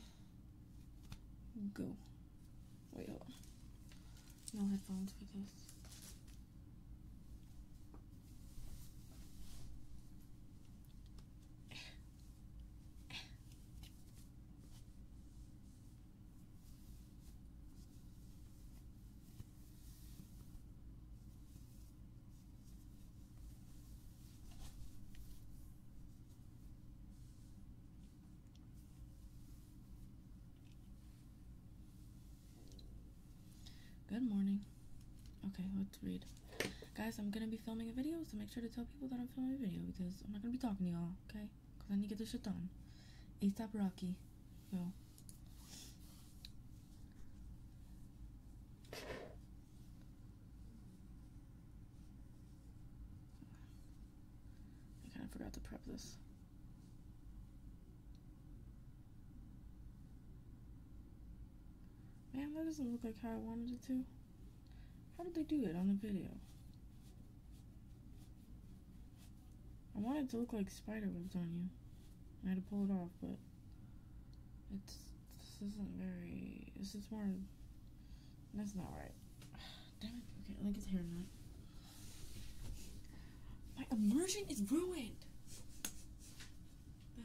Go. Wait, hold on. No headphones for this. Good morning. Okay, let's read. Guys, I'm gonna be filming a video, so make sure to tell people that I'm filming a video because I'm not gonna be talking to y'all, okay? Because I need to get this shit done. ASAP Rocky. Yo. I kind of forgot to prep this. Man, that doesn't look like how I wanted it to. How did they do it on the video? I wanted it to look like spider webs on you. I had to pull it off, but it's this isn't very. This is more. That's not right. Damn it! Okay, I think it's hair not. My immersion is ruined. The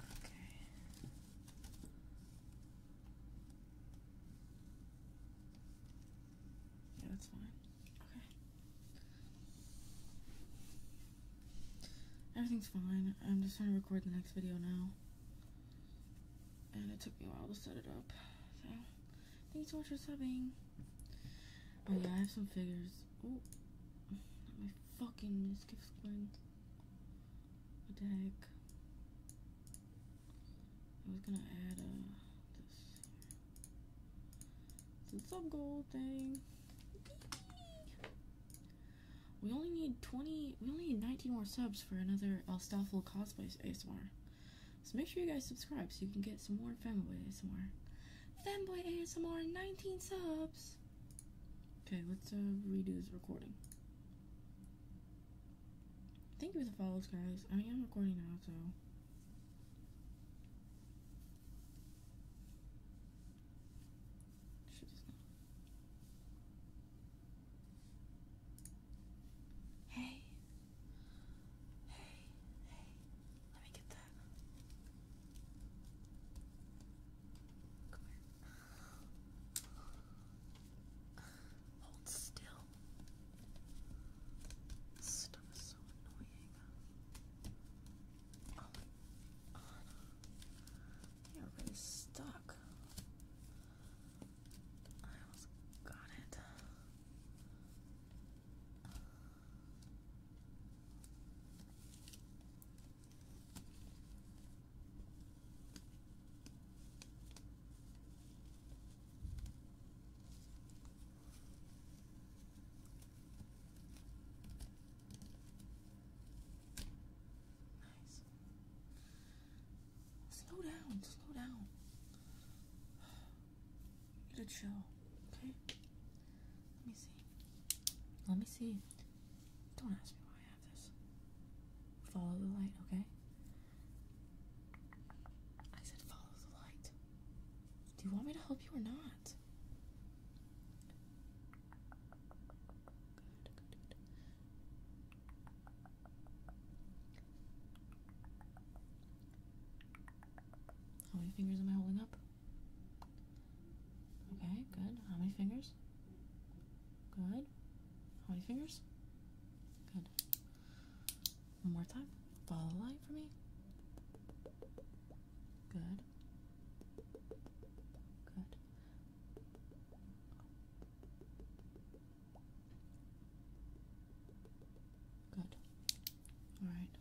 Okay. Yeah, that's fine. Okay. Everything's fine. I'm just trying to record the next video now. And it took me a while to set it up. So, thanks so much for subbing. Oh yeah, I have some figures gifts. Oh, my fucking missed gifts going. What the heck? I was gonna add uh, this. a sub gold thing. We only need 20, we only need 19 more subs for another Elstoffel Cosplay ASMR. So make sure you guys subscribe so you can get some more Femboy ASMR. Femboy ASMR, 19 subs! Okay, let's uh, redo this recording. Thank you for the follows, guys. I am recording now, so. Come here. Hold still. This stuff is so annoying. Oh stuck. I almost got it. Nice. Slow down, slow down. Get a chill. Okay. Let me see. Let me see. Don't ask me why I have this. Follow the light, okay? I said follow the light. Do you want me to help you or not? How many fingers am I holding up? Okay, good. How many fingers? Good. How many fingers? Good. One more time. Follow the light for me. Good. Good. Good. All right.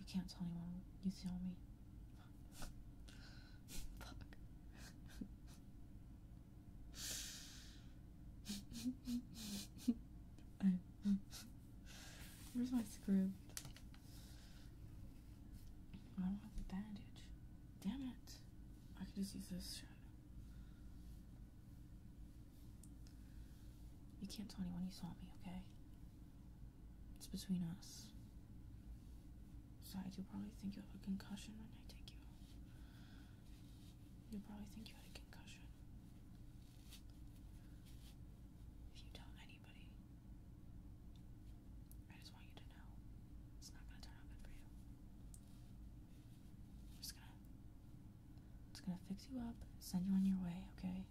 You can't tell anyone you saw me. Fuck. Where's my script? I do the bandage. Damn it. I could just use this You can't tell anyone you saw me, okay? It's between us. Besides, you probably think you have a concussion when I take you. You probably think you had a concussion. If you tell anybody, I just want you to know it's not gonna turn out good for you. I'm just gonna, I'm just gonna fix you up, send you on your way, okay?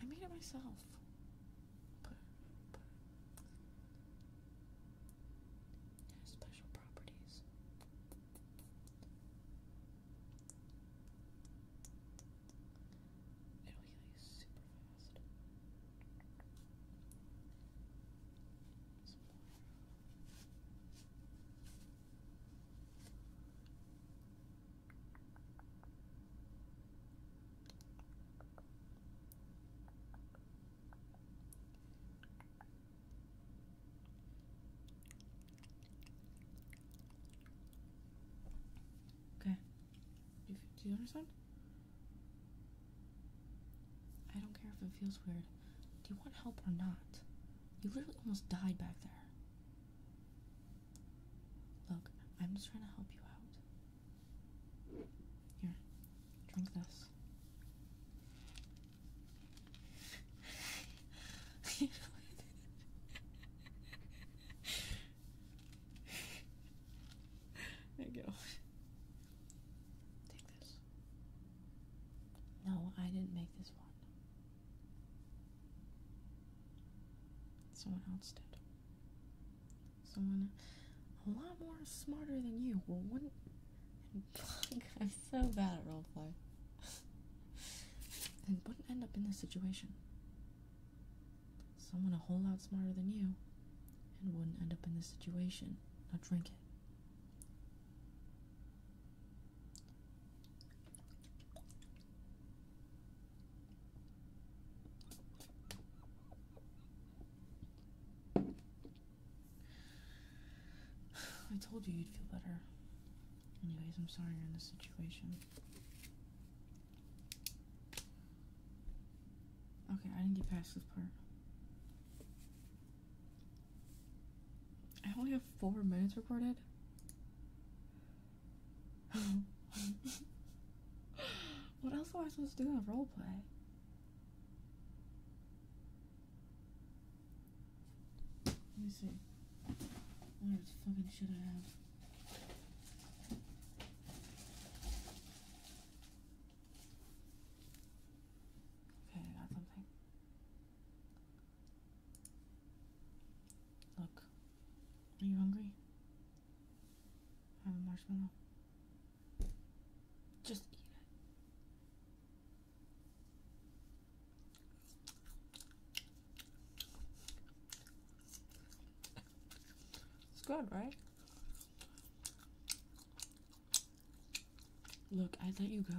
I made it myself. special properties. It'll heal you super fast. Okay. Do you, do you understand? I don't care if it feels weird. Do you want help or not? You literally almost died back there. Look, I'm just trying to help you out. Here, drink this. there you go. Take this. No, I didn't make this one. Someone else did. Someone a lot more smarter than you. Well, wouldn't. I'm so bad at roleplay. and wouldn't end up in this situation. Someone a whole lot smarter than you and wouldn't end up in this situation. Now drink it. I told you you'd feel better. Anyways, I'm sorry you're in this situation. Okay, I didn't get past this part. I only have four minutes recorded. what else am I supposed to do in a role play? Let me see. What fucking shit I have. Okay, I got something. Look, are you hungry? I have a marshmallow. Just eat it. It's good, right? Look, I let you go,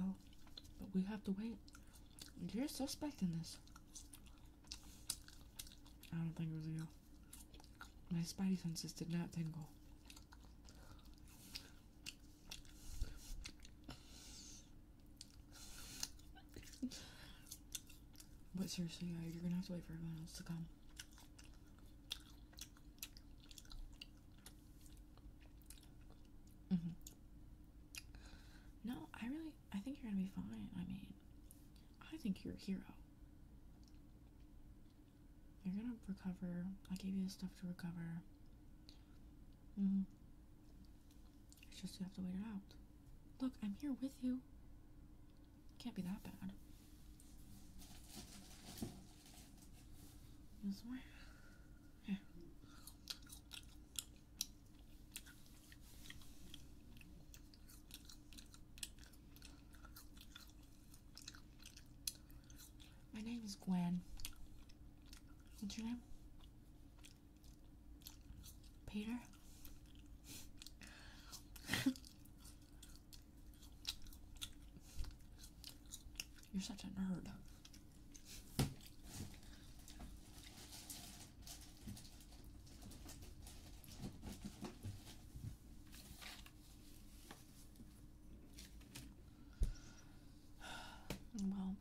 but we have to wait. You're suspecting this. I don't think it was real. My spidey senses did not tingle. but seriously, uh, you're gonna have to wait for everyone else to come. Mm-hmm. No, I really, I think you're gonna be fine. I mean, I think you're a hero. You're gonna recover. I gave you the stuff to recover. Mm. It's just you have to wait it out. Look, I'm here with you. Can't be that bad. This way. Yeah. My name is Gwen. What's your name? Peter? You're such a nerd. Well,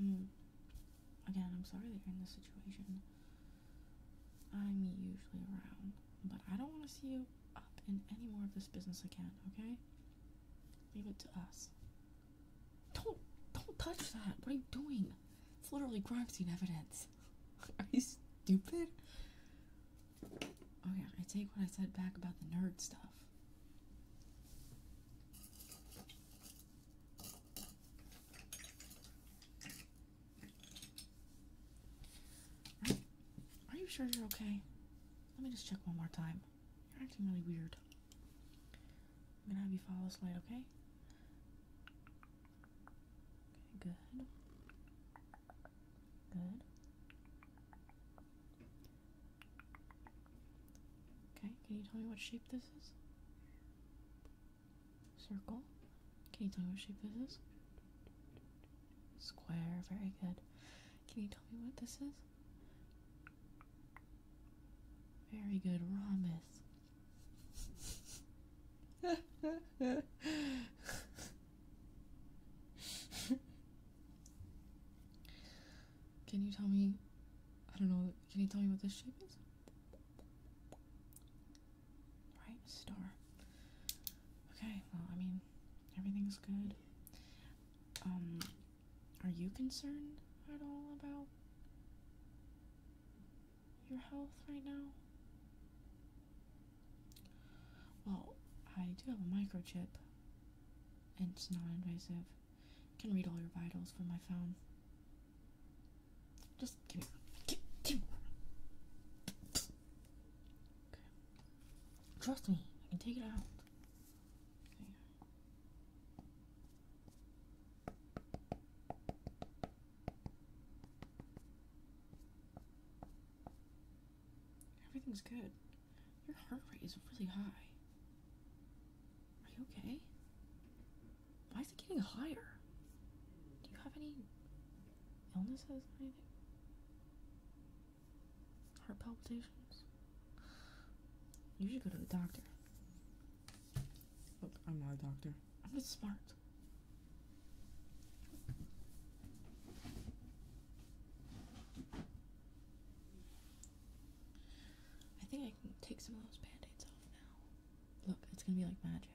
mm, again, I'm sorry that you're in this situation. I'm usually around, but I don't want to see you up in any more of this business again, okay? Leave it to us. Don't don't touch that. What are you doing? It's literally crime scene evidence. are you stupid? Oh yeah, I take what I said back about the nerd stuff. Are you sure you're okay? Let me just check one more time. You're acting really weird. I'm gonna have you follow this light, okay? Okay, good. Good. Okay, can you tell me what shape this is? Circle. Can you tell me what shape this is? Square, very good. Can you tell me what this is? Very good, Ramis. can you tell me? I don't know. Can you tell me what this shape is? Right, star. Okay, well, I mean, everything's good. Um, are you concerned at all about your health right now? Well, I do have a microchip, and it's non invasive. I can read all your vitals from my phone. Just give me. Give, give Trust me, I can take it out. Everything's good. Your heart rate is really high. Are you okay? Why is it getting higher? Do you have any illnesses or anything? Heart palpitations? You should go to the doctor. Look, I'm not a doctor. I'm just smart. I think I can take some of those band-aids off now. Look, it's gonna be like magic.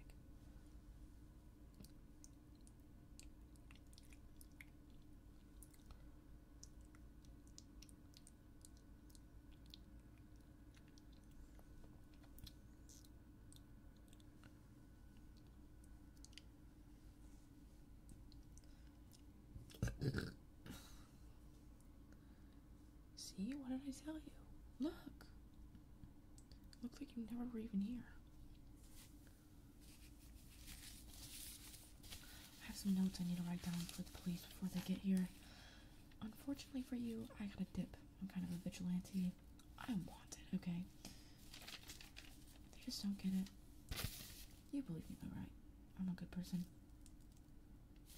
See, what did I tell you? Look! Looks like you never were even here. I have some notes I need to write down for the police before they get here. Unfortunately for you, I got a dip. I'm kind of a vigilante. I am wanted. okay? They just don't get it. You believe me though, I'm a good person.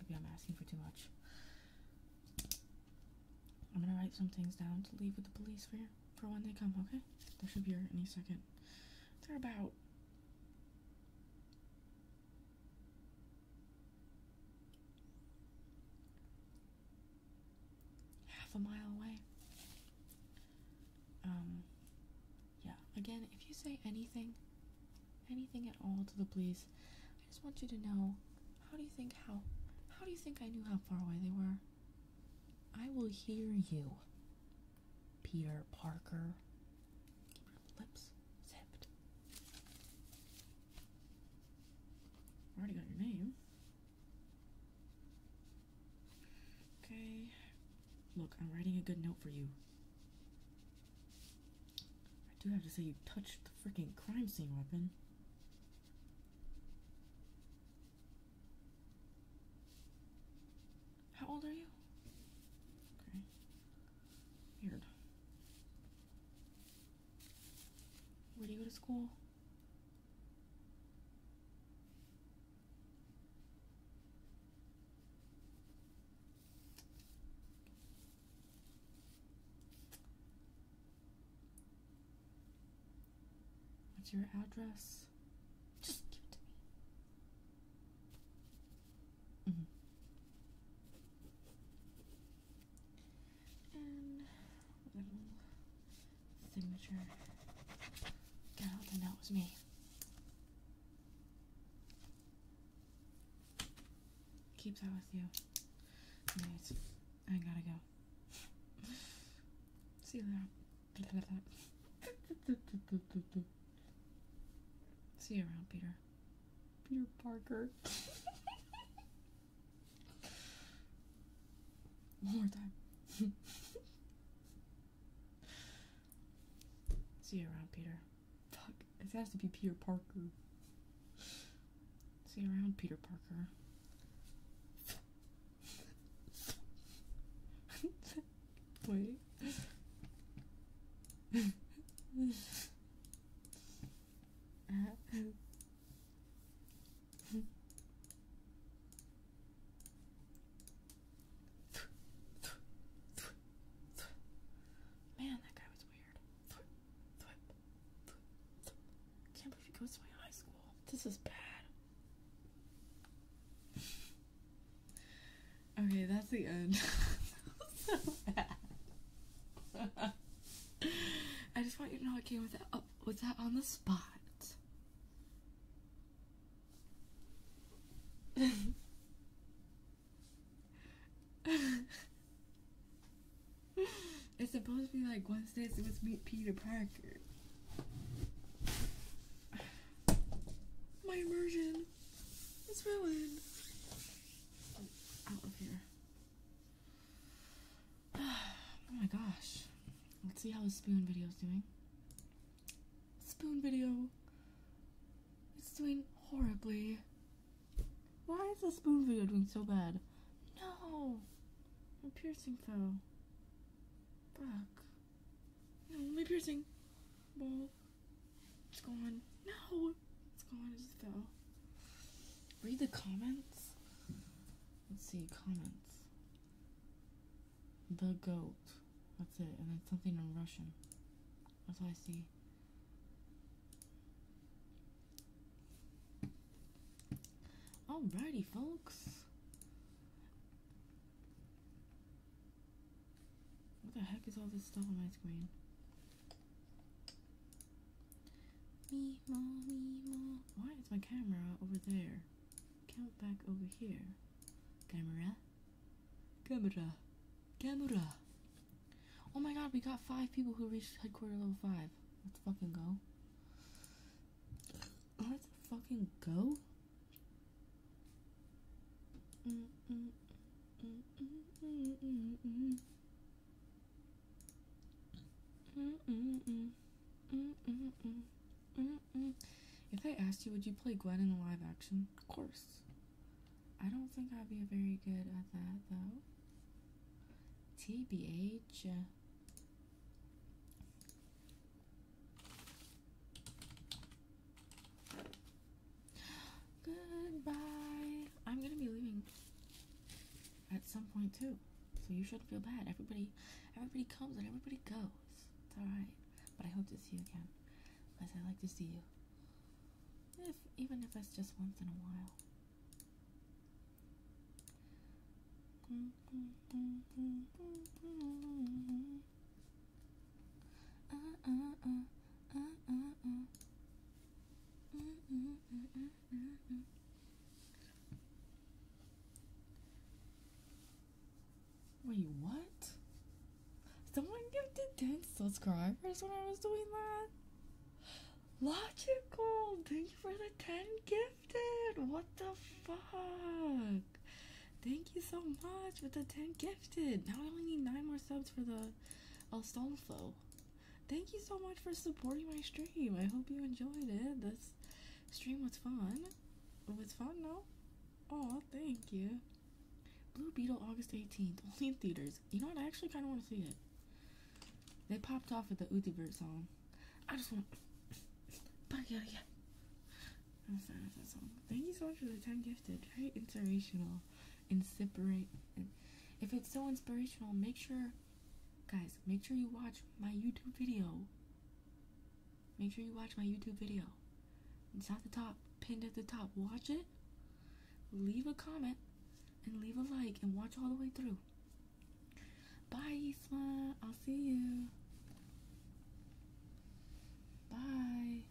Maybe I'm asking for too much. I'm gonna write some things down to leave with the police for, you for when they come, okay? They should be here any second. They're about half a mile away. Um, yeah, again, if you say anything, anything at all to the police, I just want you to know how do you think how how do you think I knew how far away they were? I will hear you, Peter Parker. Keep lips zipped. Already got your name. Okay. Look, I'm writing a good note for you. I do have to say you touched the freaking crime scene weapon. How old are you? Okay. Weird. Where do you go to school? What's your address? Just give it to me. -hmm. And little signature. God, that was me. Keep that with you. I gotta go. See you later. See you around, Peter. Peter Parker. One more time. See you around, Peter. Fuck, This has to be Peter Parker. See you around, Peter Parker. Wait. Man, that guy was weird. Can't believe he goes to my high school. This is bad. Okay, that's the end. I just want you to know I came with that up with that on the spot. it's supposed to be like Wednesday, so let's meet Peter Parker. My immersion is ruined. Out of here. oh my gosh. Let's see how the spoon video is doing. Spoon video. It's doing horribly. Why is the spoon video doing so bad? No! My piercing fell. Fuck. Only piercing. Ball. It's gone. No. It's gone. It just fell. Read the comments. Let's see. Comments. The goat. That's it. And then something in Russian. That's all I see. Alrighty, folks. What the heck is all this stuff on my screen? Me mo Why is my camera over there? Count back over here. Camera, camera, camera. Oh my God, we got five people who reached headquarters level five. Let's fucking go. Let's fucking go. Mm, mm, mm, if I asked you, would you play Gwen in a live action? Of course. I don't think I'd be very good at that though. TBH. Uh, Goodbye. I'm gonna be leaving at some point too, so you shouldn't feel bad. Everybody, everybody comes and everybody goes. It's all right. But I hope to see you again, because I like to see you. even if it's just once in a while. Mm-hmm. Wait, what? Someone gifted 10 subscribers when I was doing that? Logical! Thank you for the 10 gifted! What the fuck? Thank you so much for the 10 gifted! Now I only need 9 more subs for the El Stolfo. Thank you so much for supporting my stream. I hope you enjoyed it. This stream was fun. It was fun, no? Oh, thank you. Blue Beetle, August 18th. Only in theaters. You know what? I actually kind of want to see it. They popped off with the Uthibert song. I just want. Thank you so much for the time gifted. Very inspirational and separate. If it's so inspirational, make sure, guys, make sure you watch my YouTube video. Make sure you watch my YouTube video. It's at the top, pinned at the top. Watch it, leave a comment, and leave a like, and watch all the way through. Bye, Isma. I'll see you. Bye.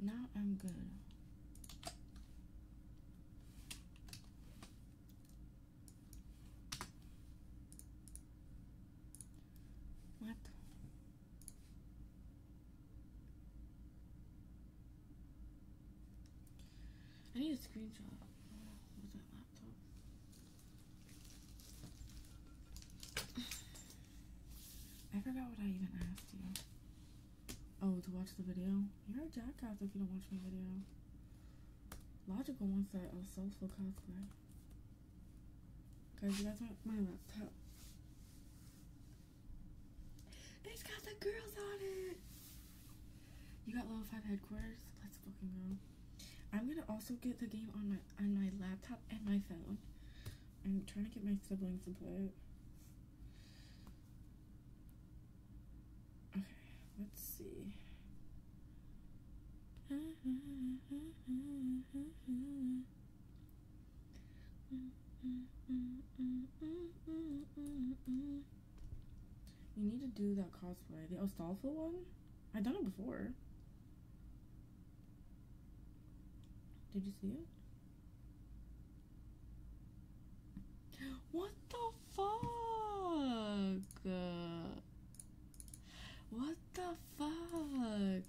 Now I'm good. What? I need a screenshot with that laptop. I forgot what I even asked you. Oh, to watch the video? You're a jackass if you don't watch my video. Logical wants that a uh, soulful Guys, that's my laptop. It's got the girls on it. You got level five headquarters. Let's fucking go. I'm gonna also get the game on my on my laptop and my phone. I'm trying to get my siblings to play it. Okay. Let's see. You need to do that cosplay. The Astolfo one? I've done it before. Did you see it? What the fuck? What the fuck?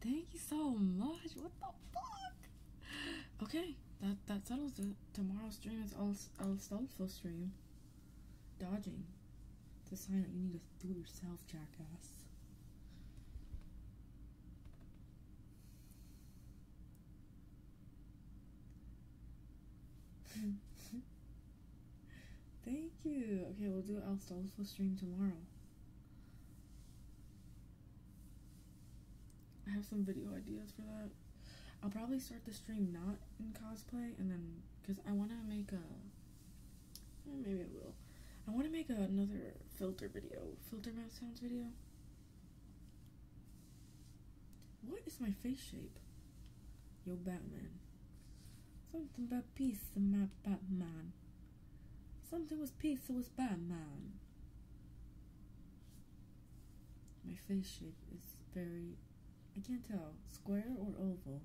Thank you so much. What the fuck? Okay, that that settles it. Tomorrow's stream is El Stolfo stream. Dodging. It's a sign that you need to do it yourself, jackass. Thank you. Okay, we'll do Al Stolfo stream tomorrow. I have some video ideas for that. I'll probably start the stream not in cosplay and then because I want to make a eh, maybe I will. I want to make another filter video, filter mouth sounds video. What is my face shape? Yo, Batman. Something about peace and my Batman. Something was peace, pizza was Batman. My face shape is very, I can't tell, square or oval.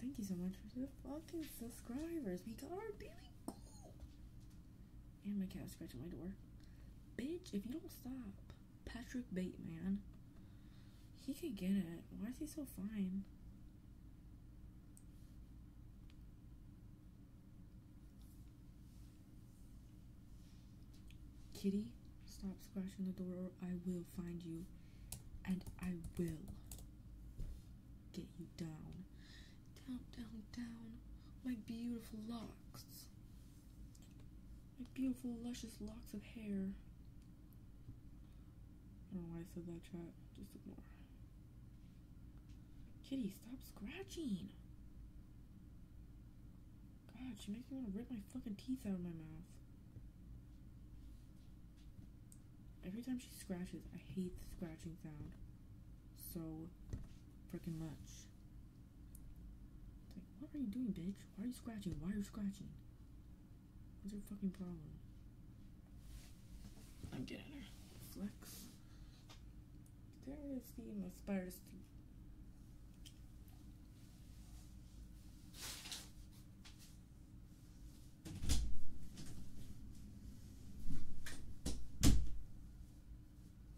Thank you so much for the fucking subscribers. We got our daily cool. And my cat scratching my door. Bitch, if you don't stop. Patrick Bateman. He could get it. Why is he so fine? Kitty, stop scratching the door or I will find you. And I will get you down. Down, down, down. My beautiful locks. My beautiful, luscious locks of hair. I don't know why I said that, chat. Just more. Kitty, stop scratching! God, she makes me want to rip my fucking teeth out of my mouth. Every time she scratches, I hate the scratching sound so freaking much what are you doing, bitch? Why are you scratching? Why are you scratching? What's your fucking problem? I'm getting her. Flex. There is the Aspire Steam.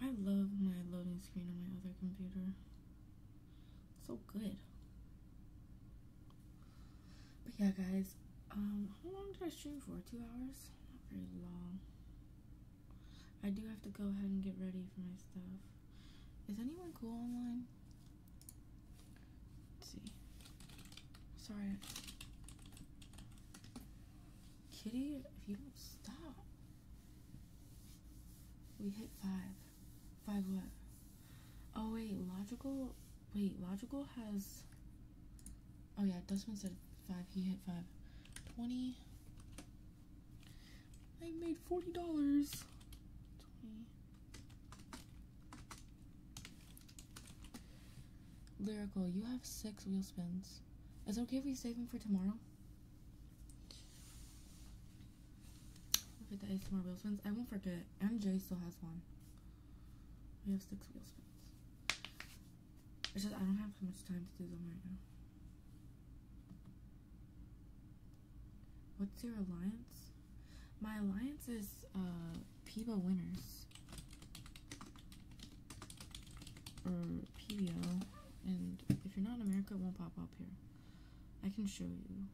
I love my loading screen on my other computer. so good. But yeah, guys, um, how long did I stream for? Two hours? Not very long. I do have to go ahead and get ready for my stuff. Is anyone cool online? Let's see. Sorry. Kitty, if you don't stop. We hit five. Five what? Oh wait, logical. Wait, logical has. Oh yeah, Dustman said five. He hit five. Twenty. I made forty dollars. Twenty. Lyrical, you have six wheel spins. Is it okay if we save them for tomorrow? Look at the ASMR wheel spins. I won't forget. MJ still has one. We have six wheel spins. It's just I don't have much time to do them right now. What's your alliance? My alliance is uh winners. Or PBO. And if you're not in America, it won't pop up here. I can show you.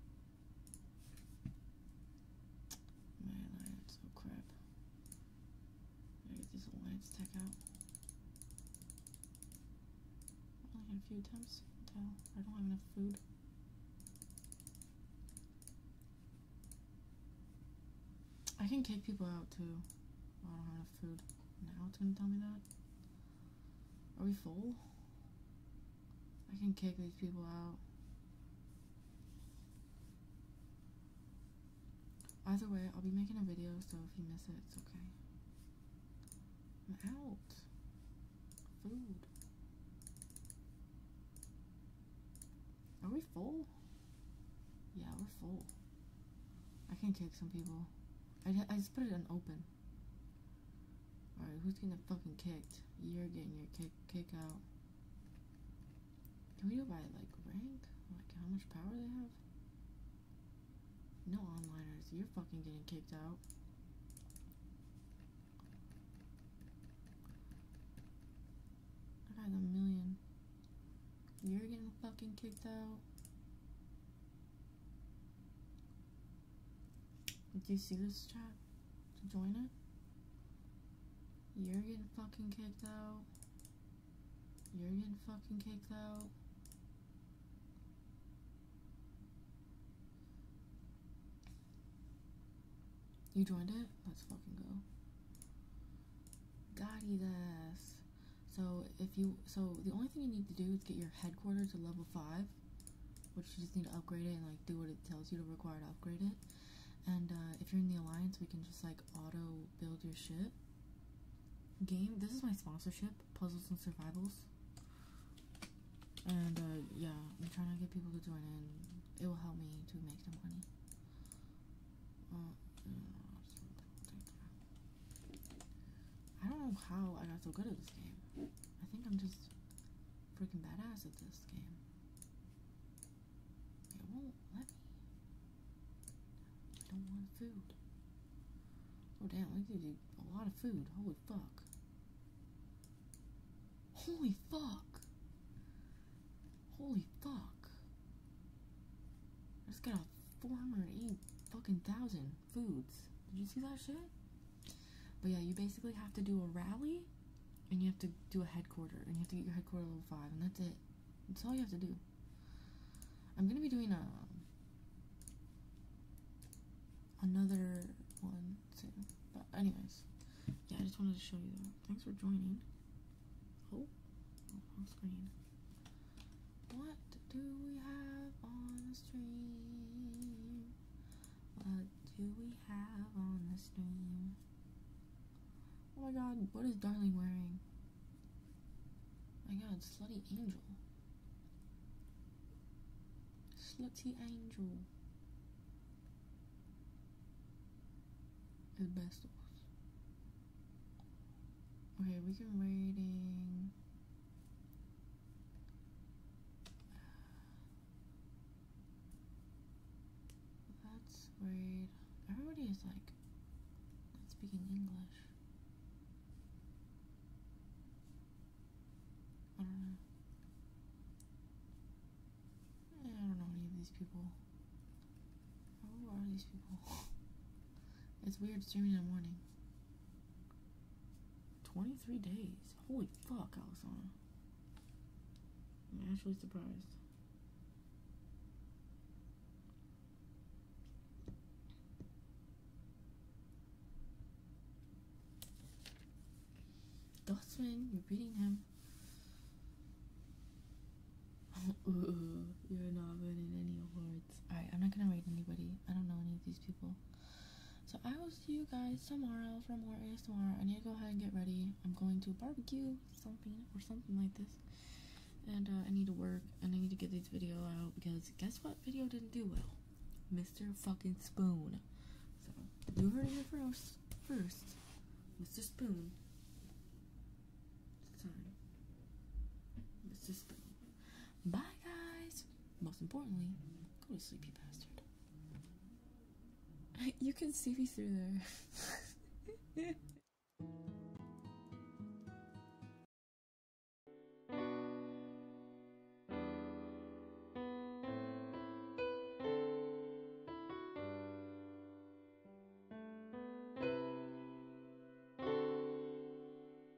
My alliance, oh crap. I get this alliance tech out. only a few attempts. I don't have enough food. I can kick people out too. I don't have enough food. Now it's gonna tell me that. Are we full? I can kick these people out. Either way, I'll be making a video, so if you miss it, it's okay. I'm out. Food. Are we full? Yeah, we're full. I can kick some people. I, I just put it on open. Alright, who's getting fucking kicked? You're getting your kick kick out. Can we go by like rank? Like how much power they have? No onliners, you're fucking getting kicked out. I got a million. You're getting fucking kicked out. Did you see this chat? To join it? You're getting fucking kicked out. You're getting fucking kicked out. You joined it? Let's fucking go. Got his ass. So if you so the only thing you need to do is get your headquarters to level five, which you just need to upgrade it and like do what it tells you to require to upgrade it. And uh, if you're in the alliance, we can just like auto build your ship. Game. This is my sponsorship, Puzzles and Survivals. And uh, yeah, I'm trying to get people to join in. It will help me to make the money. Uh, I don't know how I got so good at this game. I think I'm just freaking badass at this game. It won't let me. I don't want food. Oh damn, we could do a lot of food. Holy fuck. Holy fuck. Holy fuck. I just got a 480 fucking thousand foods. Did you see that shit? But yeah, you basically have to do a rally and you have to do a headquarter and you have to get your headquarter level 5 and that's it. That's all you have to do. I'm going to be doing a um, another one But anyways, yeah, I just wanted to show you that. Thanks for joining. oh on oh, screen. What do we have on the stream? What do we have on the stream? Oh my god, what is Darling wearing? Oh my god, Slutty Angel. Slutty Angel. Asbestos. Okay, we can rating. That's weird. Everybody is like not speaking English. I don't know. I don't know any of these people. Who are these people? it's weird streaming in the morning. 23 days. Holy fuck, Alexander. I'm actually surprised. Dustman, you're beating him. you're not winning any awards. Alright, I'm not gonna rate anybody. I don't know any of these people. So I will see you guys tomorrow for more Tomorrow, I need to go ahead and get ready. I'm going to a barbecue something or something like this. And uh, I need to work and I need to get this video out because guess what video didn't do well? Mr. Fucking Spoon. So you heard it here first. First, Mr. Spoon. Sorry, Mr. Spoon. Bye, guys. Most importantly, go to sleepy bastard. you can see me through there.